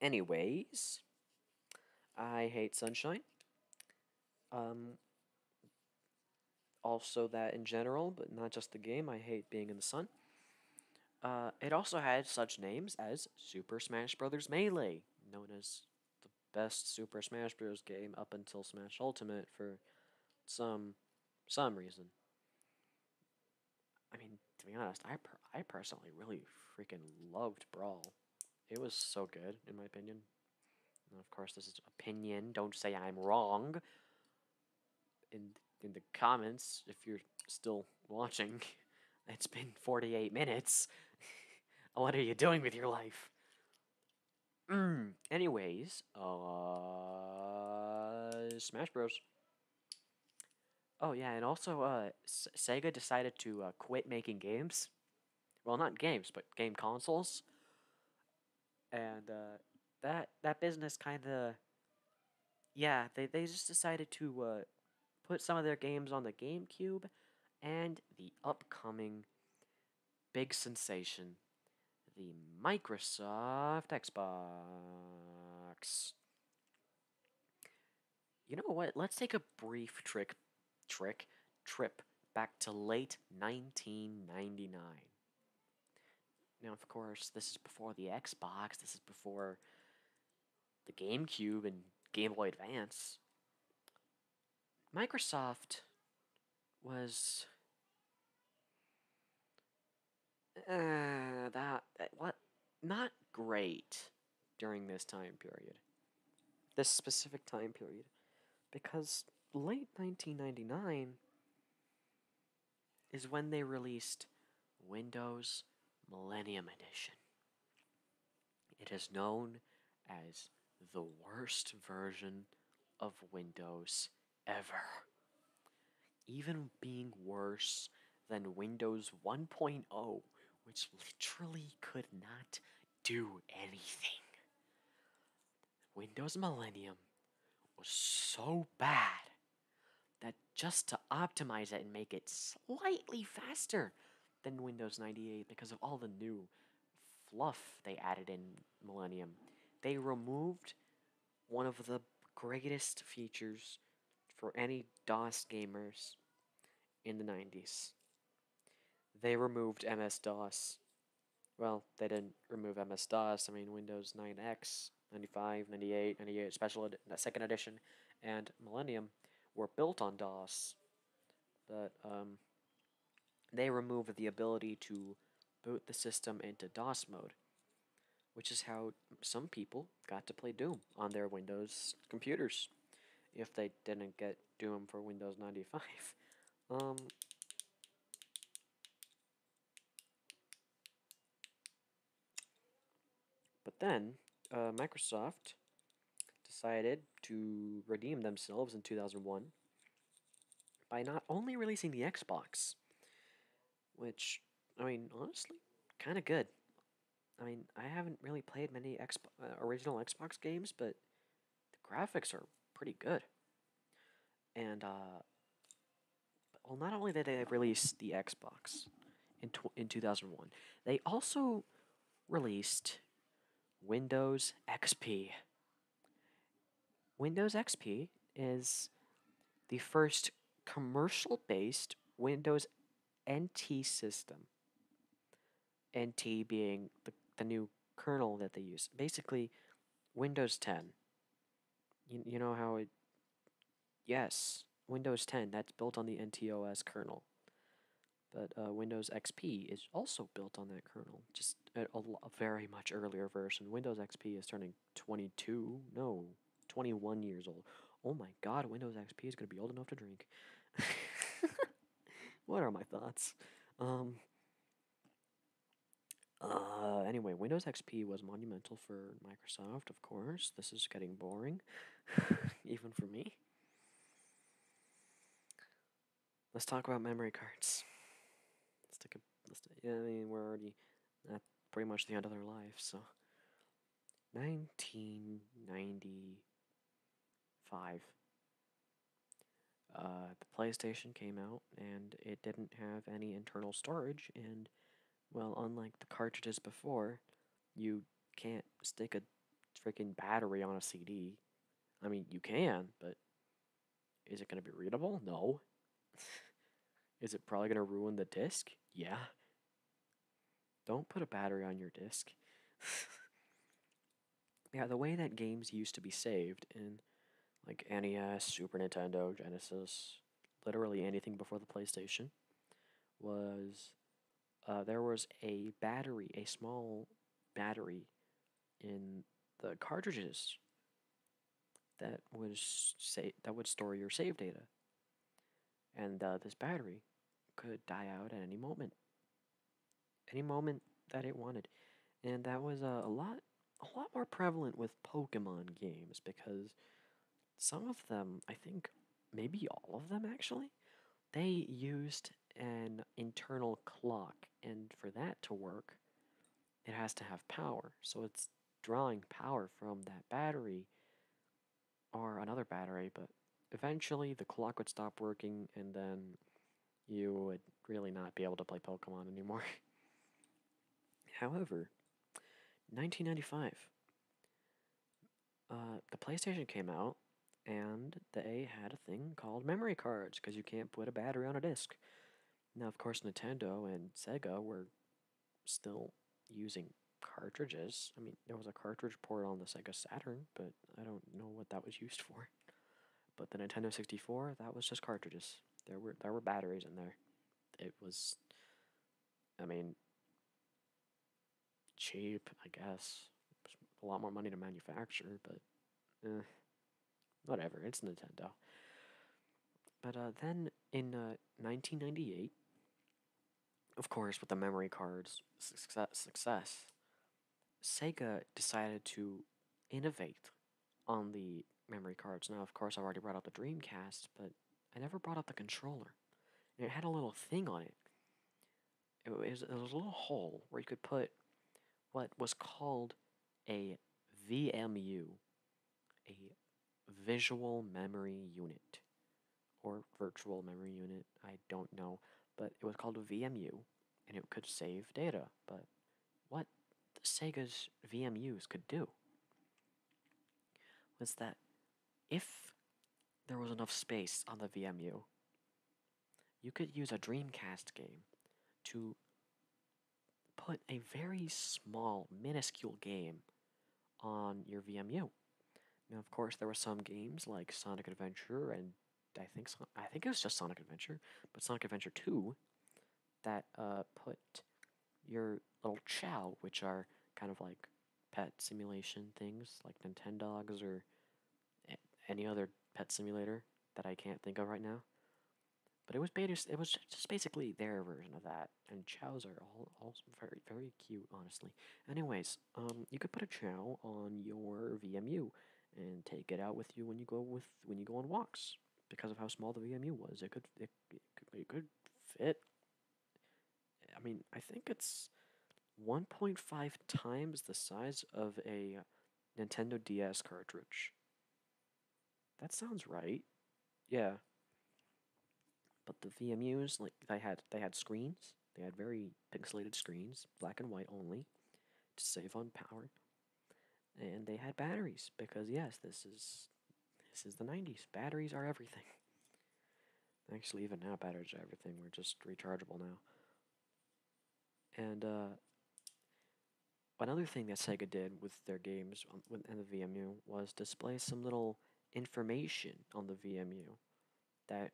Anyways, I hate sunshine. Um, also that in general, but not just the game, I hate being in the sun. Uh, it also had such names as Super Smash Bros. Melee, known as the best Super Smash Bros. game up until Smash Ultimate for some some reason. I mean, to be honest, I I personally really freaking loved Brawl. It was so good, in my opinion. of course, this is opinion. Don't say I'm wrong in in the comments if you're still watching. <laughs> It's been 48 minutes. <laughs> what are you doing with your life? Mm. Anyways, uh, Smash Bros. Oh yeah, and also uh, Sega decided to uh, quit making games. Well, not games, but game consoles and uh, that that business kind of yeah they, they just decided to uh, put some of their games on the GameCube and the upcoming big sensation, the Microsoft Xbox. You know what? Let's take a brief trick, trick, trip back to late 1999. Now, of course, this is before the Xbox, this is before the GameCube and Game Boy Advance. Microsoft was. Uh, that. What? Not great during this time period. This specific time period. Because late 1999 is when they released Windows Millennium Edition. It is known as the worst version of Windows ever. Even being worse than Windows 1.0, which literally could not do anything. Windows Millennium was so bad that just to optimize it and make it slightly faster than Windows 98 because of all the new fluff they added in Millennium, they removed one of the greatest features for any DOS gamers in the 90s. They removed MS DOS well, they didn't remove MS-DOS. I mean, Windows 9X, 95, 98, 98 Special uh, Second Edition, and Millennium were built on DOS. But um, they removed the ability to boot the system into DOS mode, which is how some people got to play Doom on their Windows computers, if they didn't get Doom for Windows 95. <laughs> Um, but then uh, Microsoft decided to redeem themselves in 2001 by not only releasing the Xbox, which, I mean, honestly, kind of good. I mean, I haven't really played many Xbox, uh, original Xbox games, but the graphics are pretty good and uh, well, not only did they release the Xbox in in 2001, they also released Windows XP. Windows XP is the first commercial-based Windows NT system. NT being the, the new kernel that they use. Basically, Windows 10 you, you know how it. Yes, Windows 10, that's built on the NTOS kernel. But uh, Windows XP is also built on that kernel, just a, a very much earlier version. Windows XP is turning 22, no, 21 years old. Oh my god, Windows XP is going to be old enough to drink. <laughs> what are my thoughts? Um, uh, anyway, Windows XP was monumental for Microsoft, of course. This is getting boring, <laughs> even for me. Let's talk about memory cards. Let's take let's yeah, I mean we're already at pretty much the end of their life, so 1995 uh, the PlayStation came out and it didn't have any internal storage, and well, unlike the cartridges before, you can't stick a freaking battery on a CD. I mean, you can, but is it going to be readable? No. <laughs> is it probably going to ruin the disc? Yeah. Don't put a battery on your disc. <laughs> yeah, the way that games used to be saved, and like NES, Super Nintendo, Genesis, literally anything before the PlayStation, was uh, there was a battery, a small battery in the cartridges that was say that would store your save data, and uh, this battery could die out at any moment, any moment that it wanted, and that was uh, a lot a lot more prevalent with Pokemon games because some of them, I think maybe all of them actually, they used an internal clock, and for that to work, it has to have power. So it's drawing power from that battery or another battery, but eventually the clock would stop working, and then you would really not be able to play Pokemon anymore. <laughs> However, 1995, uh, the PlayStation came out, and they had a thing called memory cards because you can't put a battery on a disc. Now, of course, Nintendo and Sega were still using cartridges. I mean, there was a cartridge port on the Sega Saturn, but I don't know what that was used for. But the Nintendo 64, that was just cartridges. There were there were batteries in there. It was, I mean, cheap, I guess. A lot more money to manufacture, but eh, whatever. It's Nintendo. But uh, then in 1998, uh, of course, with the memory card's success, success, Sega decided to innovate on the memory cards. Now, of course, I've already brought up the Dreamcast, but I never brought up the controller. And it had a little thing on it. It was, it was a little hole where you could put what was called a VMU, a visual memory unit, or virtual memory unit, I don't know, but it was called a VMU, and it could save data, but what Sega's VMUs could do was that if there was enough space on the VMU, you could use a Dreamcast game to put a very small, minuscule game on your VMU. Now, of course, there were some games like Sonic Adventure and I think I think it was just Sonic Adventure, but Sonic Adventure 2 that uh, put your little chow, which are kind of like pet simulation things like Nintendo Dogs or any other pet simulator that I can't think of right now. But it was it was just basically their version of that, and chows are all, all very very cute, honestly. Anyways, um, you could put a chow on your VMU and take it out with you when you go with when you go on walks because of how small the VMU was. It could it, it could, it could fit. I mean, I think it's 1.5 times the size of a Nintendo DS cartridge. That sounds right. Yeah. But the VMUs, like they had they had screens. They had very pixelated screens, black and white only, to save on power and they had batteries because yes, this is this is the 90s. Batteries are everything. Actually, even now batteries are everything. We're just rechargeable now. And uh, another thing that Sega did with their games on, and the VMU was display some little information on the VMU that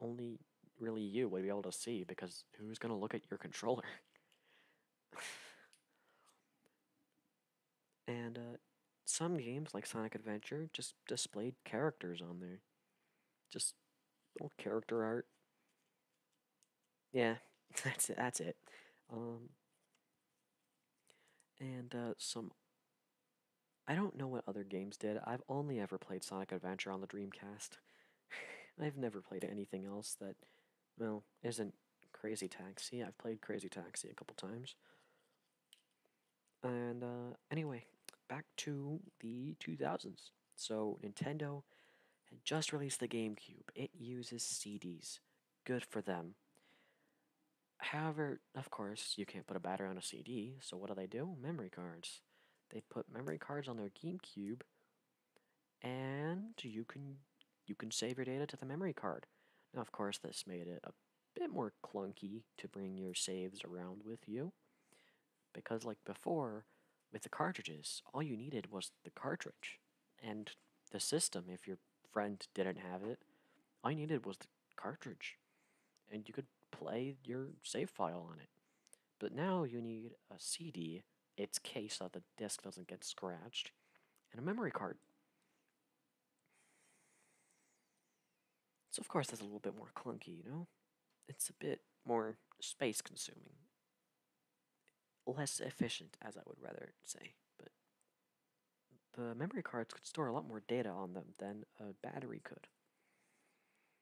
only really you would be able to see because who's going to look at your controller? <laughs> and uh, some games, like Sonic Adventure, just displayed characters on there. Just little character art. Yeah, <laughs> that's it. That's it. Um, and uh, some. I don't know what other games did. I've only ever played Sonic Adventure on the Dreamcast. <laughs> I've never played anything else that well, isn't Crazy Taxi. I've played Crazy Taxi a couple times. And uh, anyway, back to the 2000s. So, Nintendo had just released the GameCube. It uses CDs. Good for them. However, of course, you can't put a battery on a CD, so what do they do? Memory cards. They put memory cards on their GameCube and you can you can save your data to the memory card. Now, of course, this made it a bit more clunky to bring your saves around with you, because like before, with the cartridges, all you needed was the cartridge, and the system, if your friend didn't have it, all you needed was the cartridge, and you could play your save file on it. But now you need a CD its case so the disk doesn't get scratched, and a memory card. So of course that's a little bit more clunky, you know? It's a bit more space consuming. Less efficient, as I would rather say. But the memory cards could store a lot more data on them than a battery could.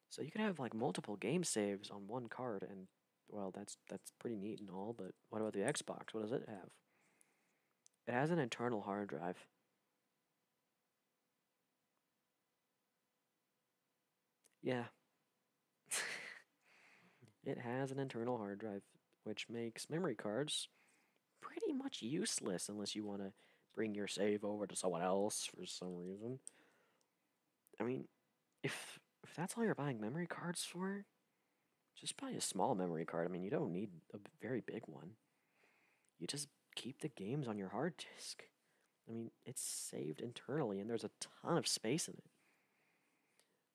So you could have like multiple game saves on one card and well, that's that's pretty neat and all, but what about the Xbox? What does it have? It has an internal hard drive. Yeah. <laughs> it has an internal hard drive, which makes memory cards pretty much useless unless you want to bring your save over to someone else for some reason. I mean, if if that's all you're buying memory cards for, just buy a small memory card. I mean, you don't need a very big one. You just keep the games on your hard disk. I mean, it's saved internally and there's a ton of space in it.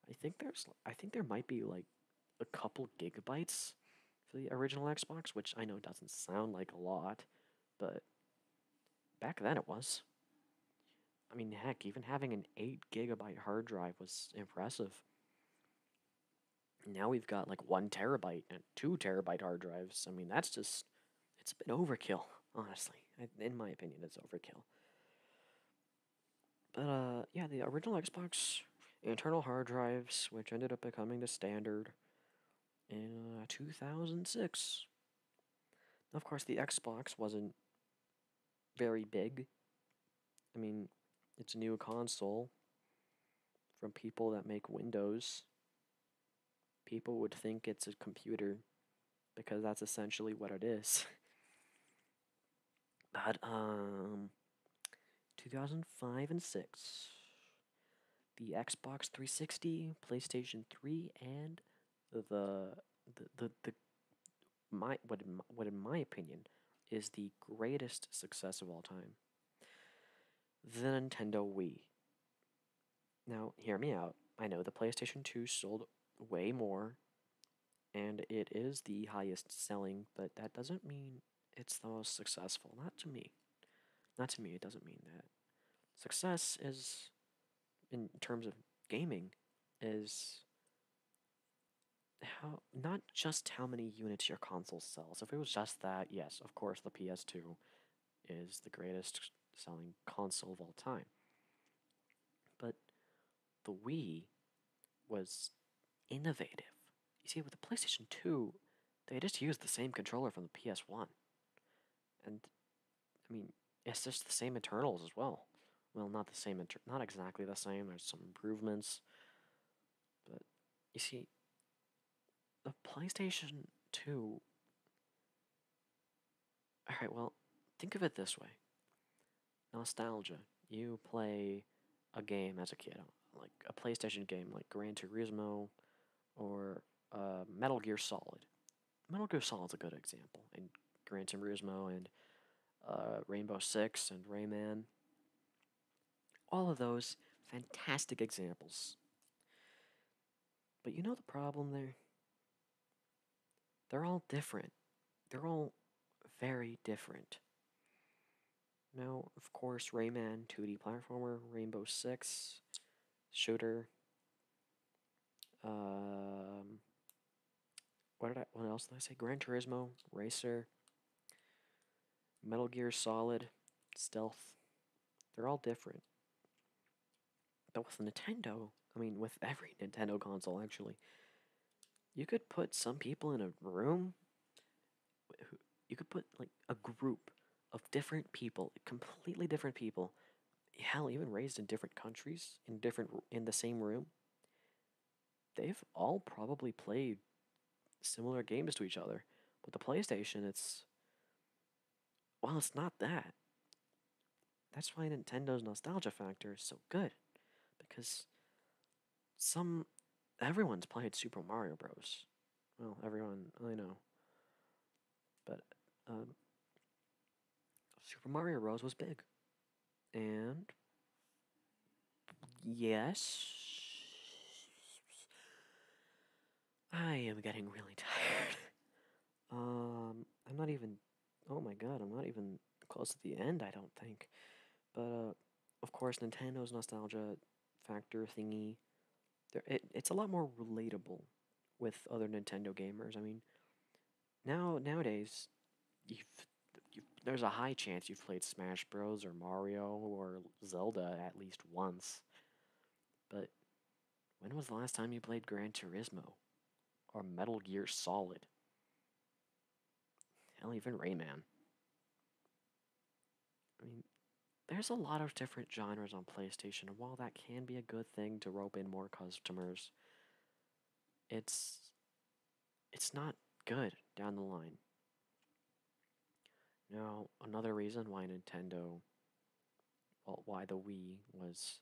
I think there's I think there might be like a couple gigabytes for the original Xbox, which I know doesn't sound like a lot, but back then it was. I mean, heck, even having an 8 gigabyte hard drive was impressive. Now we've got like 1 terabyte and 2 terabyte hard drives. I mean, that's just, it's a bit overkill, <laughs> honestly. in my opinion, it's overkill. But uh, yeah, the original Xbox internal hard drives, which ended up becoming the standard in uh, 2006. Of course, the Xbox wasn't very big. I mean, it's a new console from people that make Windows. People would think it's a computer because that's essentially what it is. <laughs> but um 2005 and 6 the Xbox 360, PlayStation 3 and the the the, the my what in my, what in my opinion is the greatest success of all time. The Nintendo Wii. Now, hear me out. I know the PlayStation 2 sold way more and it is the highest selling, but that doesn't mean it's the most successful. Not to me. Not to me, it doesn't mean that. Success is, in terms of gaming, is how not just how many units your console sells. If it was just that, yes, of course the PS2 is the greatest selling console of all time. But the Wii was innovative. You see, with the PlayStation 2, they just used the same controller from the PS1. And I mean, it's just the same internals as well well, not the same, inter- not exactly the same. There's some improvements, but you see, the PlayStation Two. All right, well, think of it this way: nostalgia. You play a game as a kid, like a PlayStation game, like Gran Turismo, or uh, Metal Gear Solid. Metal Gear Solid's a good example, and Gran Turismo and uh, Rainbow Six and Rayman. All of those fantastic examples. But you know the problem there? They're all different. They're all very different. Now, of course, Rayman, 2D platformer, Rainbow Six, shooter, um, what did I? What else did I say? Gran Turismo, Racer, Metal Gear Solid, Stealth. They're all different. But with Nintendo, I mean, with every <laughs> Nintendo console, actually, you could put some people in a room. You could put like a group of different people, completely different people, hell, even raised in different countries, in different in the same room, they've all probably played similar games to each other. But the PlayStation, it's well, it's not that. That's why Nintendo's nostalgia factor is so good, because some everyone's played Super Mario Bros. Well, everyone I know, but um, Super Mario Bros. was big. And yes, I am getting really <laughs> tired. um, I'm not even. Oh my god, I'm not even close to the end. I don't think. But uh, of course, Nintendo's nostalgia factor thingy. There, it, it's a lot more relatable with other Nintendo gamers. I mean, now nowadays, you've, there's a high chance you've played Smash Bros. or Mario or Zelda at least once. But when was the last time you played Gran Turismo or Metal Gear Solid? Hell, even Rayman. I mean, there's a lot of different genres on PlayStation, and while that can be a good thing to rope in more customers, it's it's not good down the line. Now, another reason why Nintendo, well, why the Wii was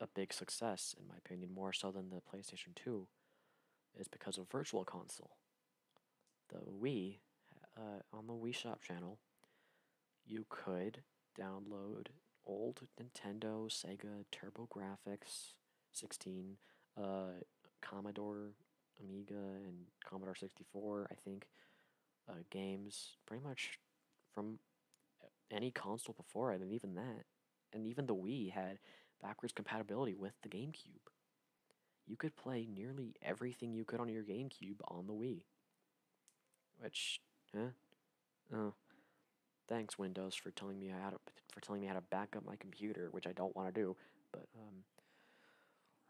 a big success, in my opinion, more so than the PlayStation 2, is because of Virtual Console. The Wii, uh, on the Wii Shop channel, you could download old Nintendo, Sega, Turbo Graphics, 16, uh, Commodore, Amiga, and Commodore 64, I think, uh, games pretty much from any console before it, and even that. And even the Wii had backwards compatibility with the GameCube. You could play nearly everything you could on your GameCube on the Wii. Which, huh? Oh. Thanks, Windows, for telling me how to for telling me how to back up my computer, which I don't want to do. But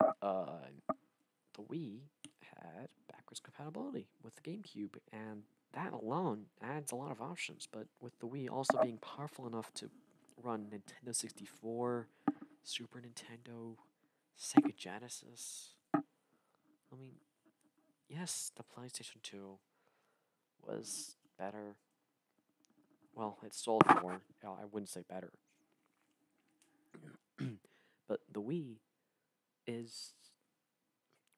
um, uh, the Wii had backwards compatibility with the GameCube, and that alone adds a lot of options. But with the Wii also being powerful enough to run Nintendo 64, Super Nintendo, Sega Genesis. I mean, yes, the PlayStation 2 was better. Well, it sold more. I wouldn't say better. <clears throat> but the Wii is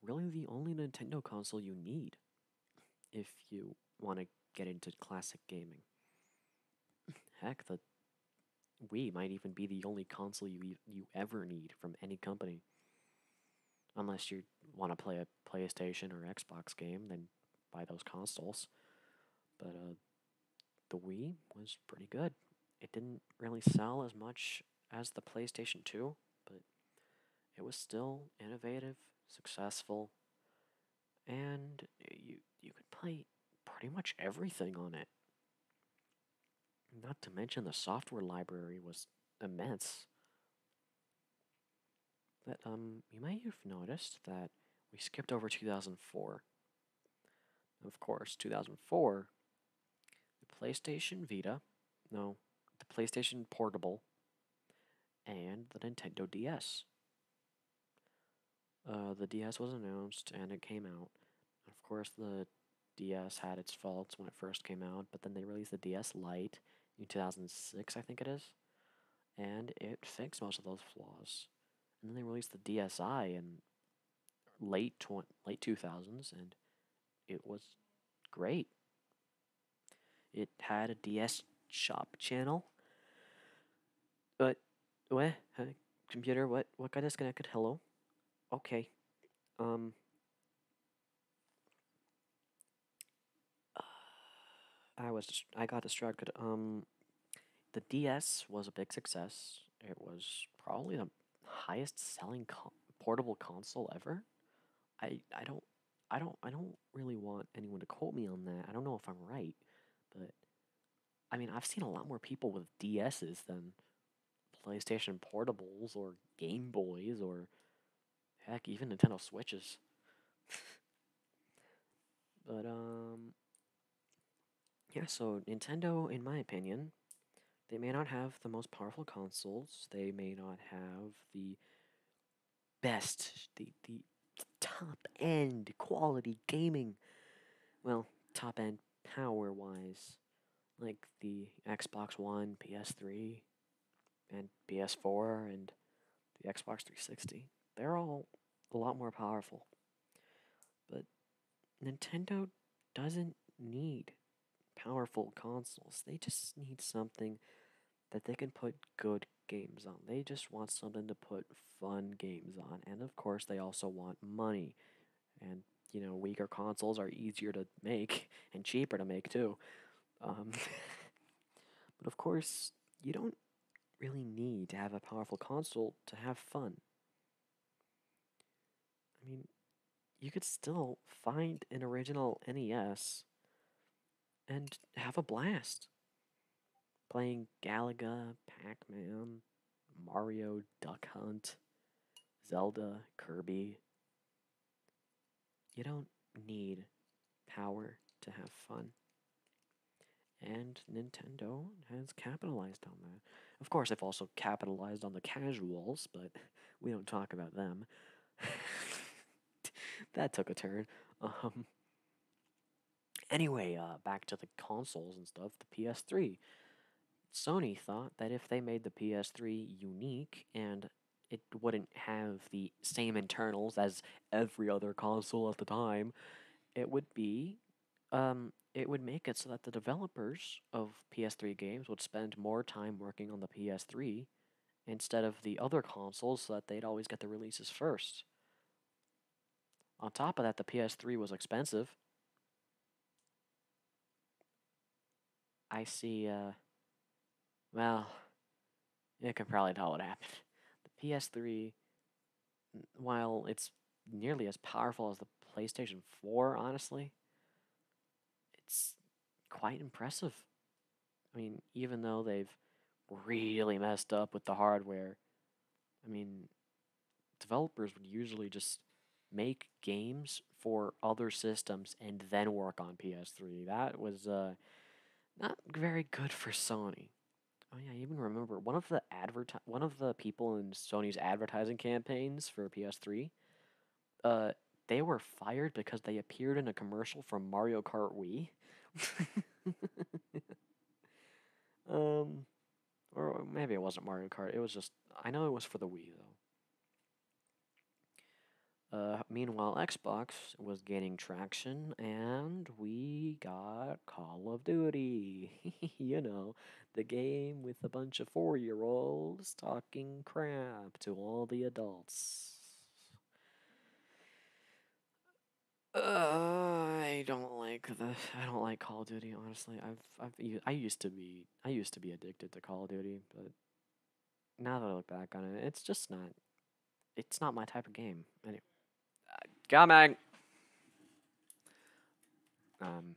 really the only Nintendo console you need if you want to get into classic gaming. Heck, the Wii might even be the only console you you ever need from any company unless you want to play a PlayStation or Xbox game, then buy those consoles. But uh, the Wii was pretty good. It didn't really sell as much as the PlayStation 2, but it was still innovative, successful, and you you could play pretty much everything on it. Not to mention the software library was immense. But um, you may have noticed that we skipped over 2004. Of course, 2004, the PlayStation Vita, no, the PlayStation Portable, and the Nintendo DS. Uh, the DS was announced and it came out. Of course, the DS had its faults when it first came out, but then they released the DS Lite in 2006, I think it is. And it fixed most of those flaws. And then they released the DSi in late tw- late 2000s, and it was great. It had a DS shop channel. But, where Computer, what, what kind got connected? Hello? Okay. Um, I was I got distracted. Um, the DS was a big success. It was probably the highest selling portable console ever. I I don't I don't I don't really want anyone to quote me on that. I don't know if I'm right, but I mean, I've seen a lot more people with DSs than PlayStation portables or Game Boys or Heck, even Nintendo Switches. <laughs> but um yeah, so Nintendo in my opinion, they may not have the most powerful consoles, they may not have the best, the the top end quality gaming. Well, top end power wise, like the Xbox One, PS3, and PS4 and the Xbox 360. They're all a lot more powerful. But Nintendo doesn't need powerful consoles. They just need something that they can put good games on. They just want something to put fun games on. And of course, they also want money. And, you know, weaker consoles are easier to make <laughs> and cheaper to make, too. Um, <laughs> but of course, you don't really need to have a powerful console to have fun. I mean, you could still find an original NES and have a blast playing Galaga, Pac Man, Mario, Duck Hunt, Zelda, Kirby. You don't need power to have fun. And Nintendo has capitalized on that. Of course, they've also capitalized on the casuals, but <laughs> we don't talk about them. <laughs> that took a turn. Um, anyway, uh, back to the consoles and stuff, the PS3. Sony thought that if they made the PS3 unique and it wouldn't have the same internals as every other console at the time. It would be, um, it would make it so that the developers of PS3 games would spend more time working on the PS3 instead of the other consoles so that they'd always get the releases first. On top of that, the PS3 was expensive. I see, uh, well, it can probably tell what happened. The PS3, while it's nearly as powerful as the PlayStation 4, honestly, it's quite impressive. I mean, even though they've really messed up with the hardware, I mean, developers would usually just make games for other systems and then work on PS3. That was uh, not very good for Sony. Oh yeah, I even remember one of the adverti- one of the people in Sony's advertising campaigns for PS3. Uh, they were fired because they appeared in a commercial for Mario Kart Wii. <laughs> um, or maybe it wasn't Mario Kart. It was just I know it was for the Wii though. Uh, meanwhile, Xbox was gaining traction, and we got Call of Duty. <laughs> you know, the game with a bunch of four year olds talking crap to all the adults. Uh, I don't like the. I don't like Call of Duty. Honestly, I've I've I used to be I used to be addicted to Call of Duty, but now that I look back on it, it's just not. It's not my type of game. Anyway, uh, coming. Um.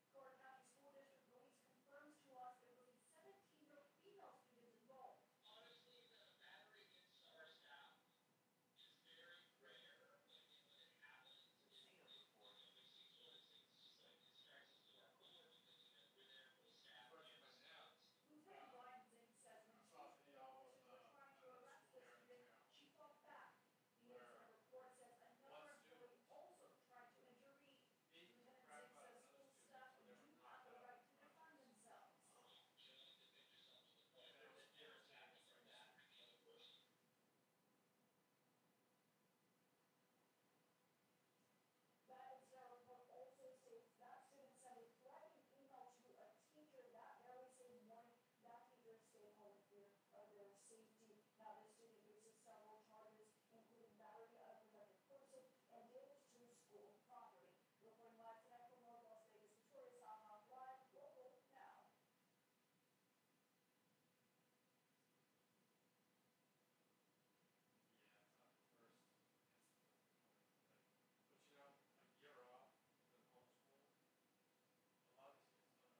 Florida County School District release confirms to us there will be 17 female students involved. Honestly, the battery against our staff is very rare. When, when it happens, it's important to be sexual. It's like it strikes us to our core because you know, we're there for staff. Lieutenant Ryan Zink says when she uh, was trying to uh, arrest the student, she fought back. Because the report says another employee also tried to intervene. Lieutenant Singh says school staff do not have the right to defend themselves. That incident report also states that student sent a threatening email to a teacher that very same morning. That teacher stayed home for of the safety, not listed in basis several charges, including battery of another person and damage to school property. Reporting live tonight from North Las Vegas, Victoria Southbound Live, now. Yeah, it's not the first. Like, but you know, a year off, the homeschool, a lot of students don't know how to fucking act.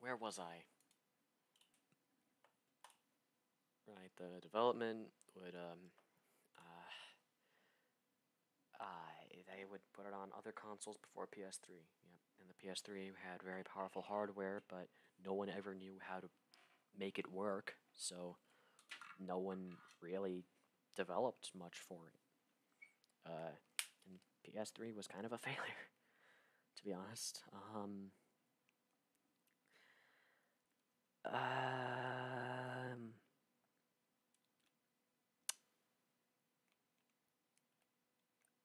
Where was I? right, the development would, um, uh, uh, they would put it on other consoles before PS3. Yep, and the PS3 had very powerful hardware, but no one ever knew how to make it work, so no one really developed much for it. Uh, and PS3 was kind of a <laughs> failure, to be honest. Um, um,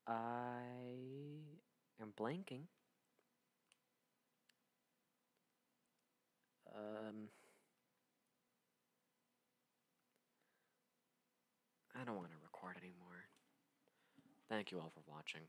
I am blanking. Um, I don't want to record anymore. Thank you all for watching.